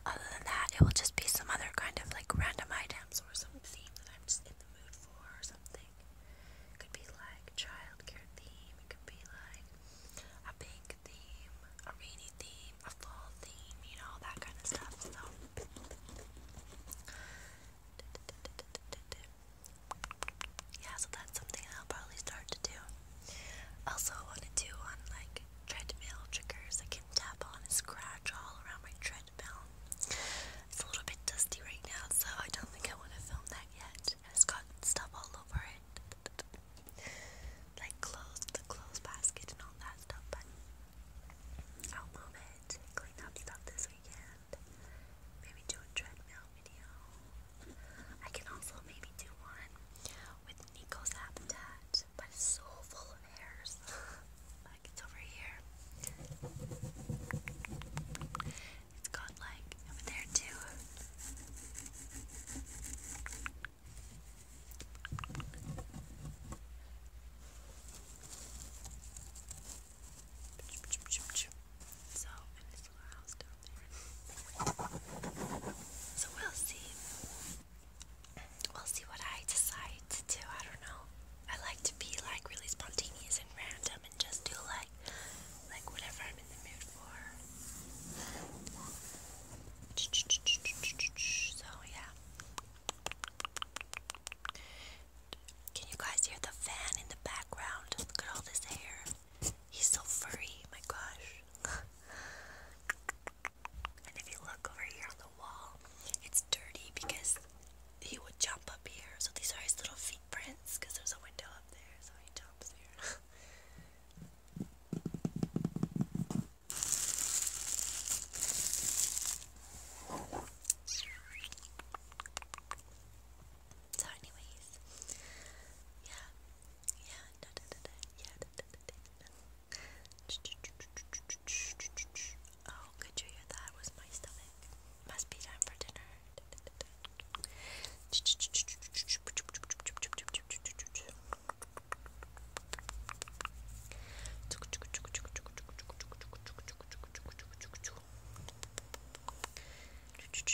Speaker 1: other than that, it will just be some other kind of like random items or some theme that I'm just in the mood for or something. could be like childcare theme. It could be like a pink theme, a rainy theme, a fall theme. You know that kind of stuff. So. Yeah, so that's something I'll probably start to do. Also, I want to do on like treadmill triggers I can tap on and scratch all around my treadmill. It's a little bit dusty right now, so I don't think I want to film that yet. It's got stuff all over it, like clothes, the clothes basket, and all that stuff. But I'll move it clean up stuff this weekend. Maybe do a treadmill video. I can also maybe do one with Nico's habitat, but it's
Speaker 2: so full of hairs. like it's over here. It's got like over there too.
Speaker 1: So, in this little house down there. So, we'll see. We'll see what I decide to I don't know. I like to be like really spontaneous and random and just do like like whatever I'm in the mood for. So yeah. Can you guys hear the fan in the background? Look at all this hair. He's so furry, my gosh. and if you look over here on the wall, it's dirty because he would jump up here. So these are his little footprints. because there's a window up there, so he jumps here. So, anyways, yeah, yeah, da da da da, yeah, da da da da. Oh, could you hear that? was my stomach. Must be time for dinner. Da, da, da, da.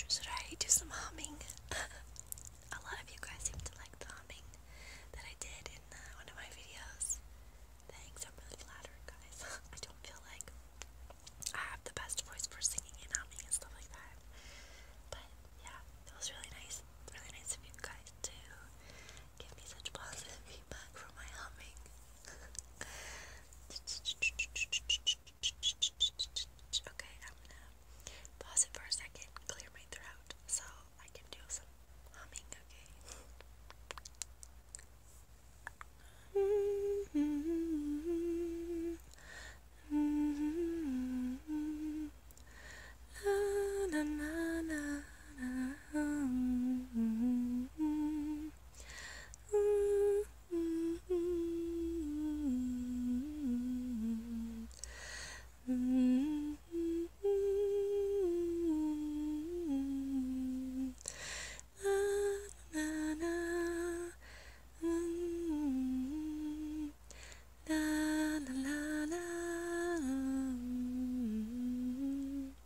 Speaker 1: Should I do some humming? A lot of you guys seem to like the humming that I did in uh, one of my videos. Thanks, I'm really flattered, guys. I don't feel like I have the best voice for singing and humming and stuff like that. But yeah, it was really nice. Really nice of you guys to give me such positive feedback for my humming. okay, I'm gonna pause it for a second, clear my throat so I can do some humming, okay?
Speaker 2: hmm la la la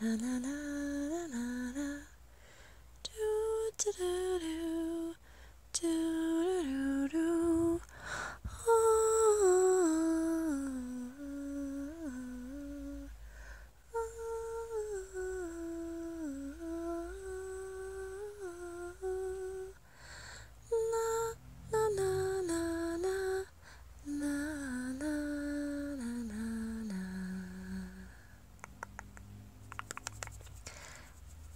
Speaker 2: Na na na na na na. Do do do do. Do do do do. Oh, oh, oh, na na na na na la la la la la.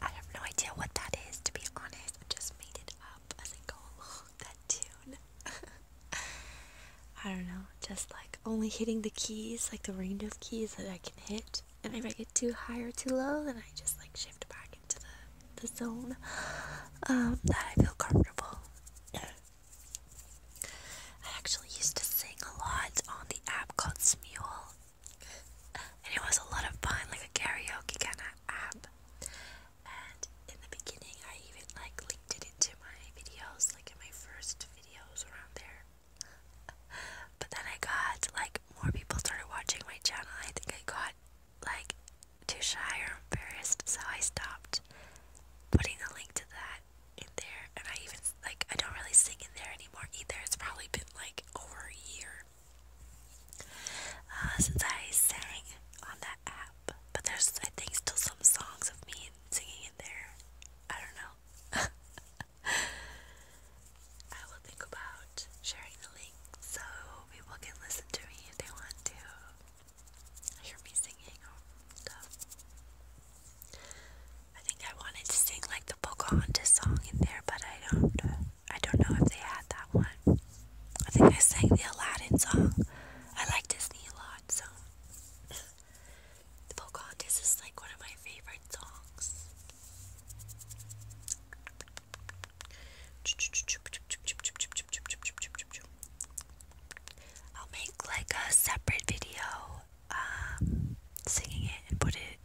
Speaker 2: I have no idea what
Speaker 1: that is, to be honest. I just made it up as I go that tune. I don't know, just like only hitting the keys, like the range of keys that I can hit. And if I get too high or too low, then I just like shift back into the, the zone um, that I feel comfortable. I actually used to sing a lot on the app called Smule, and it was a lot of fun, like a karaoke kind of app. And in the beginning, I even like linked it into my videos, like in my first videos around there. But then I got like more people started watching my channel. I think I got like too shy or embarrassed, so I stopped putting a link to that in there. And I even, like, I don't really sing in there anymore either. It's probably been like over a year uh, since I sang on that app. But there's, I think, still some songs of me singing in there. I don't know. I will think about sharing the link so people can listen to me if they want to hear me singing I think I wanted to sing like the Pocahontas song in there, but I don't. I don't know if they had that one. I think I sang the Aladdin song. I like Disney a lot, so the Pocahontas is like one of my favorite songs. I'll make like a separate video um, singing it and put it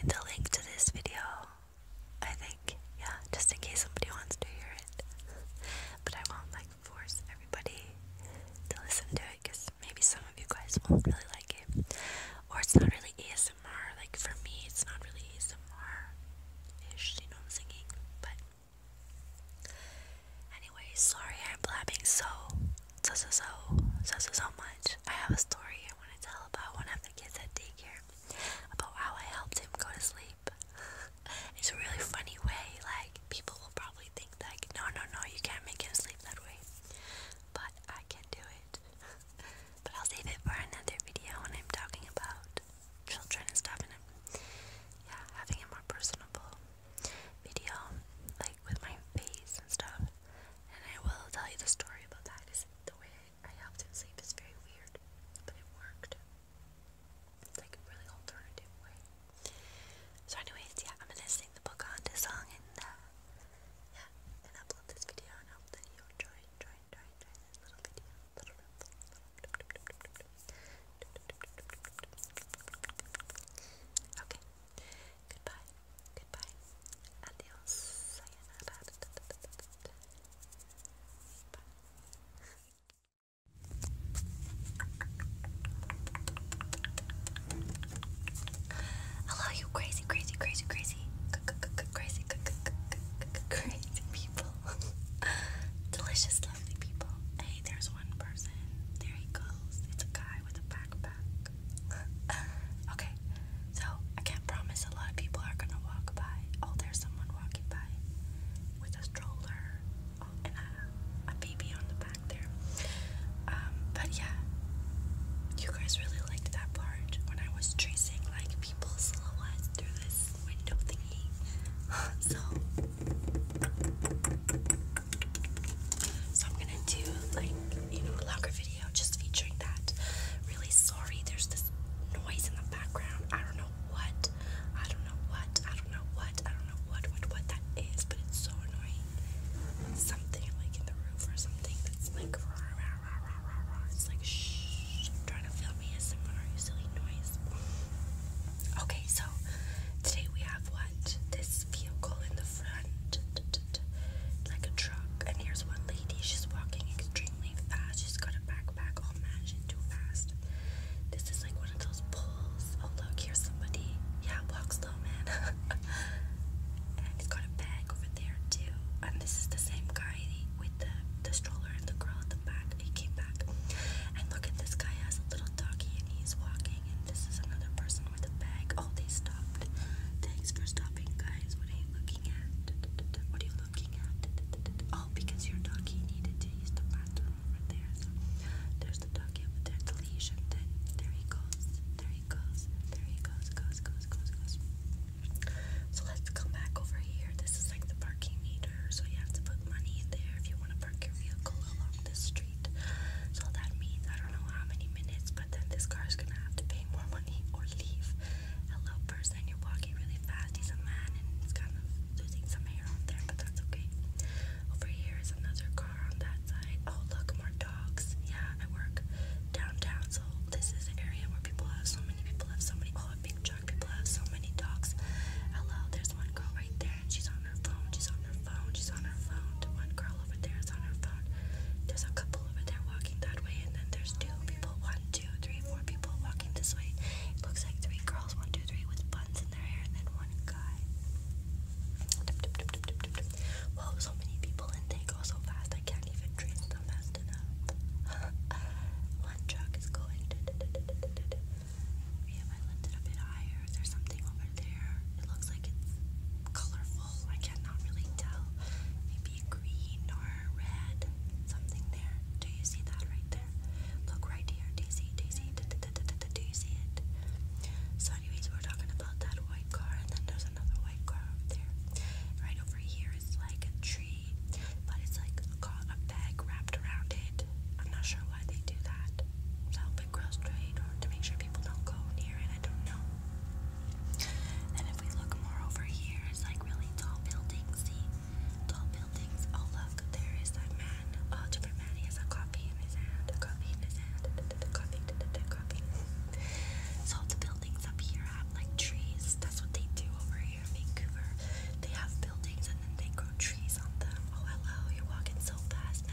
Speaker 1: in the link to this video. I think, yeah, just in case somebody wants to hear it. but I won't like force everybody to listen to it because maybe some of you guys won't really like it. Or it's not really ASMR. Like for me, it's not really ASMR ish, you know, I'm singing. But Anyway, sorry I'm blabbing so so so so so much. I have a story I want to tell about one of the kids at daycare about how I helped him go to sleep. it's a really funny way. Like people will probably think that no no no, you can't make him sleep that way. But I can do it. but I'll save it for another video when I'm talking about children and stuff, and i yeah, having a more personable video, like with my face and stuff. And I will tell you the story about that because the way I helped him sleep is very weird, but it worked. It's like a really alternative way. So, anyways, yeah, I'm gonna sing the book song and uh, yeah, and upload this video and hope that you enjoy, enjoy, enjoy, enjoy this little video, little, little Okay. Goodbye. Goodbye. Adios. Sayonara. Hello, you crazy, crazy, crazy, crazy, crazy, crazy people. Delicious. Hey, there's one person. There he goes. It's a guy with a backpack. okay, so I can't promise a lot of people are gonna walk by. Oh, there's someone walking by with a stroller and a, baby on the back there. Um, but yeah, you guys really liked that part when I was tracing like people's silhouettes through this window thingy. so so I'm gonna do like you know a longer video just featuring that. Really sorry, there's this noise in the background. I don't know what, I don't know what, I don't know what, I don't know what what what that is, but it's so annoying. Something like in the roof or something that's like rah rah rah rah rah rah. It's like shh, trying to film ASMR, you silly noise. Okay, so today we have what? This vehicle in the front, like a truck. And here's one lady. She's walking extremely fast. She's got a backpack all mashed too fast. This is like one of those pulls. Oh, look, here's somebody. Yeah, walk slow, man. and he's got a bag over there, too. And this is the same guy with the, the stroller and the girl at the back. He came back. And look at this guy has a little little doggy and he's walking and this is another person with a bag. Oh, they stopped. Thanks for stopping, guys. What are you looking at? What are you looking at? Oh, because your doggy needed to use the bathroom over there. So there's the doggy over there, leash, and then there he goes. There he goes. There he goes, goes,
Speaker 2: goes, goes, goes. So let's come back over here. This is like the parking meter, so you have to put money in there if you want to park your vehicle along the
Speaker 1: street. So that means I don't know how many minutes, but then this car is gonna have to pay more money or leave. Hello, person, you're walking really fast. He's a man and he's kind of losing some hair on there, but that's okay. Over here is another car on that side. Oh, look, more dogs. Yeah, I work downtown, so this is an area where people have so many people have so many. Oh, a big truck. People have so many dogs. Hello, there's one girl right there, and she's on her phone. She's on her phone. She's on her phone. one girl over there is on her phone. There's a couple over there walking that way, and then there's two people. One, two, three, four people walking this way. It looks like three girls. One, two, three, with buns in their hair, and then one guy. Whoa, so many people, and they go so fast. I can't even trace them fast enough. one truck is going. Maybe if I lift a bit higher, is something over there? It looks like it's colorful. I cannot really tell. Maybe green or red. Something there. Do you see that right there? Look right here. Do you see? Do you see? Do you see it? So, anyways, we're talking about that white car, and then there's another white car over there. Right over here is like a tree, but it's like got a bag wrapped around it. I'm not sure why they do that. So, to make sure people don't go near it. I don't know. And if we look more over here, it's like really tall buildings. See, tall buildings. Oh look, there is that man. Oh, different man. He has a copy in his hand. A in his hand. A copy. A So the buildings up here have like trees. That's what they do over here Vancouver. They have buildings and then they grow trees on them. Oh hello, you're walking so fast last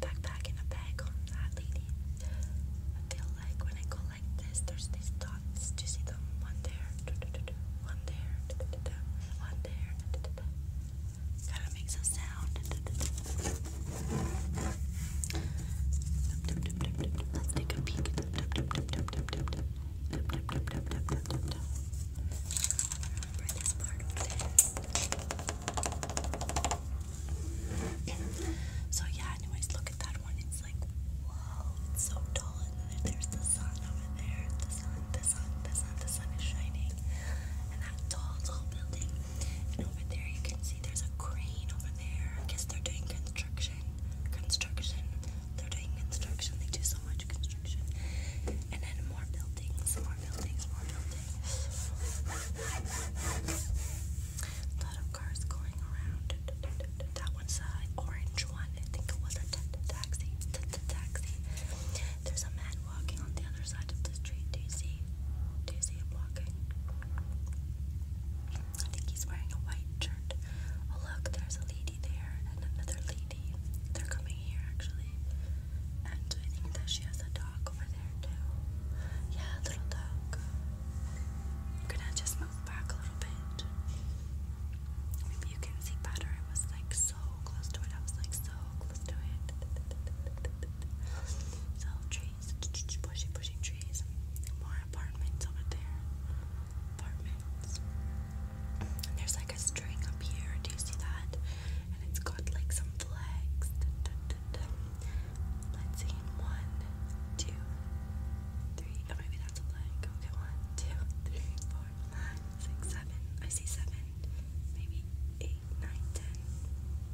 Speaker 1: Backpack in a bag on that lady. I feel like when I go like this, there's these dots. Do you see them? One there, one there, one there. Gotta make some sound so yeah, anyways, look at that one. It's like, whoa, it's so tall. And then there's the sun over there. The sun, the sun, the sun, the sun is shining. And that tall, tall building. And over there you can see there's a crane over there. I guess they're doing construction. Construction. They're doing construction. They do so much construction. And then more buildings, more buildings, more buildings. lot of cars going around. That one's an orange one. I think it was a taxi. Taxi. There's a man walking on the other side of the street. Do you see? Do you see him walking? I think he's wearing a white shirt. Oh, look, there's a lady there and another lady. They're coming here actually. And I think that she has a dog over there too. Yeah, little dog. I'm gonna just move back a little bit. Maybe you can see better. I was like so close to it. I was like so close to it. So trees, pushing, pushing trees. More apartments over there. Apartments. there's like a string up here. Do you see that? and it's got like some flags. Let's see, one, two, three. Oh, maybe that's a flag. Okay, one, two, three, four, five, six, seven. I see seven, maybe eight, nine, ten,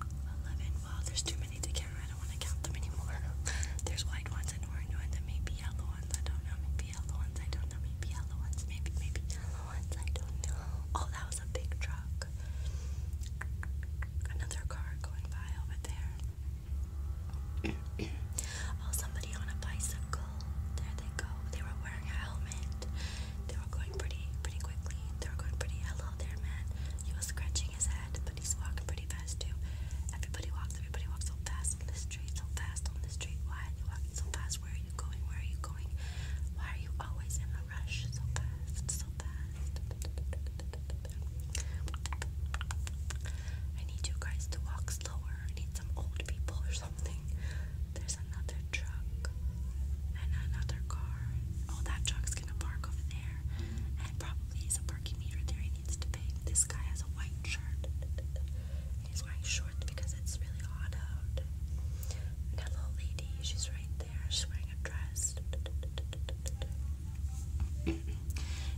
Speaker 1: eleven. Wow, there's too many to count. I don't want to count them anymore. there's white ones and orange ones and maybe yellow ones. I don't know. Maybe yellow ones. I don't know. Maybe yellow ones. Maybe maybe Oh, that was a big truck. Another car going by over there. oh, somebody on a bicycle. There they go. They were wearing a helmet. They were going pretty, pretty quickly. They were going pretty. Hello there, man. He was scratching his head, but he's walking pretty fast too. Everybody walks. Everybody walks so fast on the street. So fast on the street. Why are they walking so fast? fast? Where are you going? Where are you going? Why are you always in a rush so fast? So fast. I need you guys to walk slower. I need some old people or something. There's another truck and another car. Oh, that truck's gonna park over there. And probably is a parking meter there he needs to pay. This guy has a white shirt. He's wearing shorts because it's really hot out. And that little lady, she's dress right there. She's wearing a dress.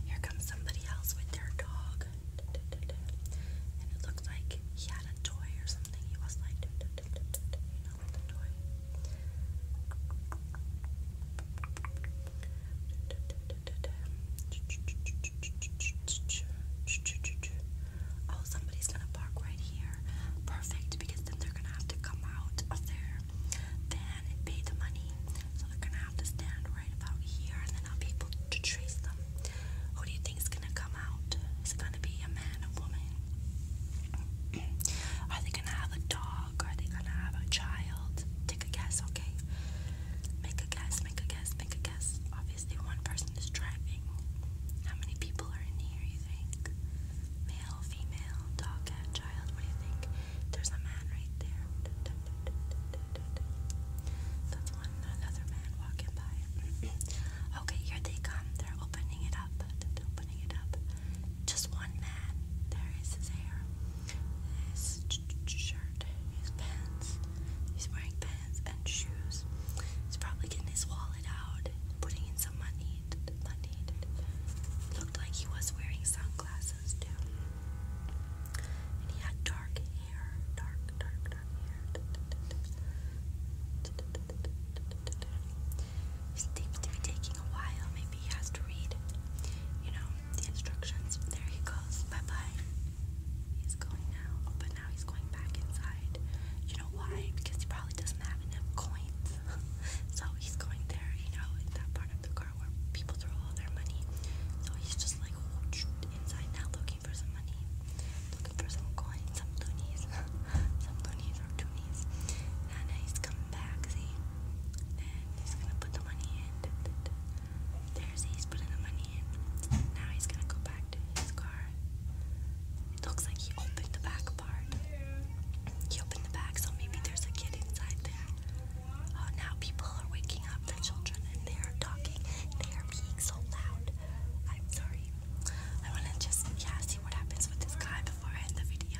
Speaker 1: Here comes somebody else with their dog. And it looks like he had a toy or something. He was like, you know, with the toy oh, somebody's gonna park right here. Perfect, because then they're gonna have to come out of their van pay the money. So they're gonna have to stand right about here, and then I'll be able to trace them. Who do you think is gonna come out? Is it gonna be a man, a woman? Are they gonna have a dog? Are they gonna have a child? Take a guess, okay? Make a guess, make a guess, make a guess. Obviously, one person is driving. How many people are in here? Male, female, dog, cat, child, what do you think?
Speaker 2: There's a man right there. That's one, another man walking by.
Speaker 1: okay, here they come. They're opening it up. opening it up. Just one man. There is his hair, his shirt, his pants. He's wearing pants and shoes. He's probably getting his wallet out, putting in someone needed, Looked like he was wearing sunglasses too. And he had dark hair. Dark, dark, dark hair. Seems to be taking a while. Maybe he has to read, you know, the instructions. There he goes. Bye bye. He's going now, but now he's going back inside. You know why? Because he probably doesn't doesn't have enough coins. so he's going there, you know, in that part of the car where people throw all their money. So he's just like inside now looking for some money. Looking for some coins, some loonies. some loonies or toonies. And he's coming back, see? And he's gonna put the money in. There he's putting the money in. Now he's gonna go back to his car. It looks like he opened the back milk bar. the bag, so maybe there's a kid inside there. Oh, now people are waking up their children and they are talking. They are being so loud. I'm sorry. I want to just, yeah, see what happens with this guy before I end the video.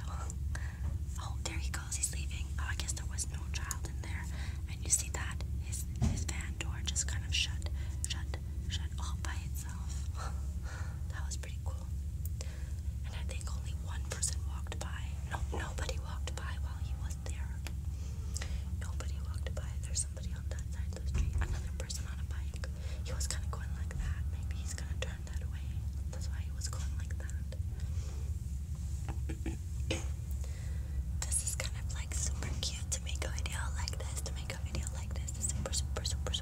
Speaker 1: Oh, there he goes. He's leaving. Oh, I guess there was no child in there. And you see that? His,
Speaker 2: his van door just kind of shut, shut, shut all by itself.
Speaker 1: that was pretty cool. And I think only one person walked by. No, nobody walked by while he was there. Nobody walked by. There's somebody on that side of the street. Another person on a bike. He was kind of going like that. Maybe he's gonna turn that way. That's why he was going like that. this is kind of like super cute to make a video like this. To make a video like this is super, super, super,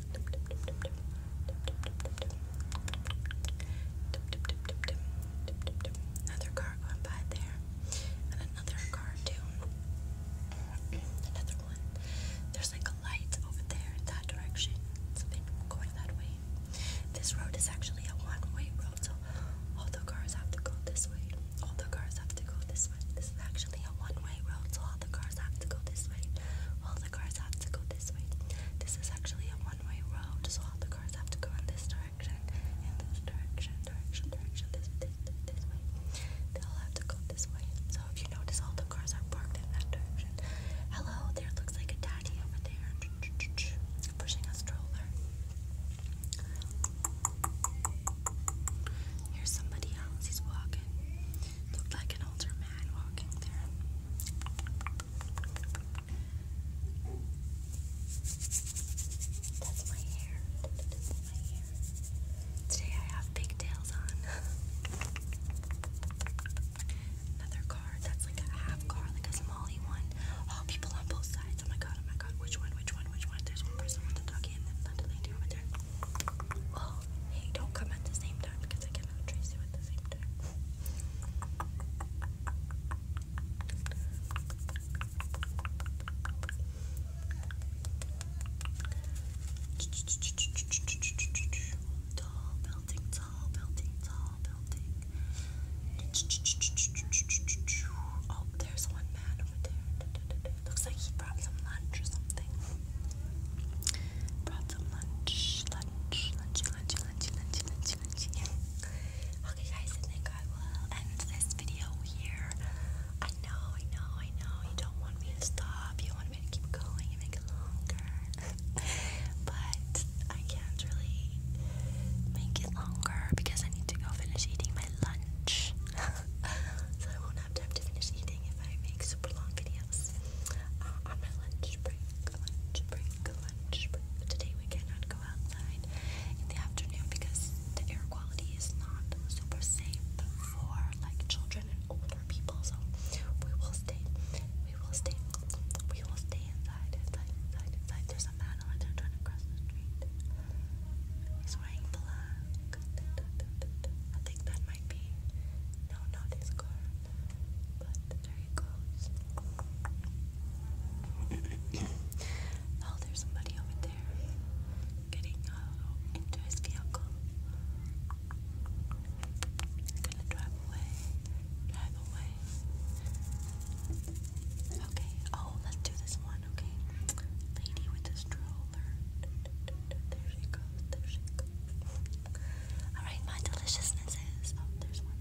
Speaker 1: Another car going by there. And another car too. Another one. There's like a light over there in that direction. it going that way. This road is actually a one-way road, so all the cars have to go this way. All the cars have to go this way. This is actually actually a one-way road, so all the cars have to go this way. All the cars have to go this way. This is actually a one-way road, so all the cars have to go in this direction, in this direction, direction, direction, this way. They all have to go this way. So if you notice, all the cars are parked in that direction. Hello, there looks like a daddy over there, pushing a stroller. Here's somebody else. He's walking. Looked like an older man walking there. That's my hair. That's my hair. Today I have pigtails on. Another car that's like a half car, like a smally one. Oh, people on both sides. Oh my god, oh my god. Which one, which one, which one? There's one person with a doggy and then another lady over there. Well, oh, hey, don't come at the same time. Tall building, tall building, tall building. Oh, there's one man over there. Looks like he brought some lunch or something. Brought some lunch, lunch, lunchy, lunchy, lunchy, lunchy, lunchy, lunchy. Yeah. Okay, guys, I think I will end this video here. I know, I know, I know. You don't want me to stop. You want me to keep going and make it longer. but I can't really make it longer because I need to go finish eating my lunch. so time to finish eating if I make super long videos. Uh, on my lunch break, lunch break, lunch break. Today we cannot go outside in the afternoon because the air quality is not super safe for like children and older people. So we will stay, we will stay, we will stay inside, inside, inside, inside. There's a man over there trying to cross the street. He's wearing black. I think that might no, not his car, but there he oh, there's somebody over there getting uh, into his vehicle. gonna drive away, drive away. Okay, oh, let's do this one, okay? Lady with the stroller. There she goes, there she goes. Alright, my deliciousness Oh, there's one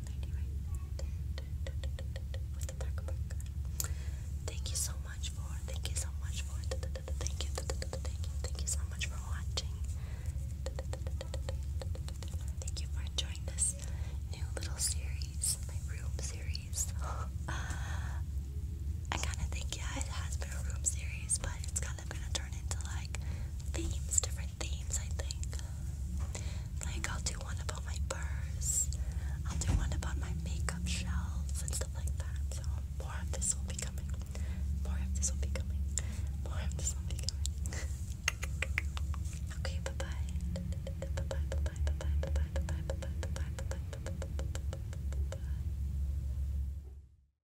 Speaker 1: Thank you so much for. Thank you so much for. Thank you. Thank you. Thank you so much for watching. Thank you for enjoying this new little series, my room series. I kind of think, yeah, it has been a room series, but it's got kind of gonna turn into like themes, different themes, I think. Like, I'll do one about my purse, I'll do one about my makeup shelves and stuff like that. So, more of this will be coming. More of this will be coming. More of this will be coming. okay, bye bye. Bye bye, bye bye, bye bye, bye bye, bye bye, bye bye, bye bye, bye bye, bye bye.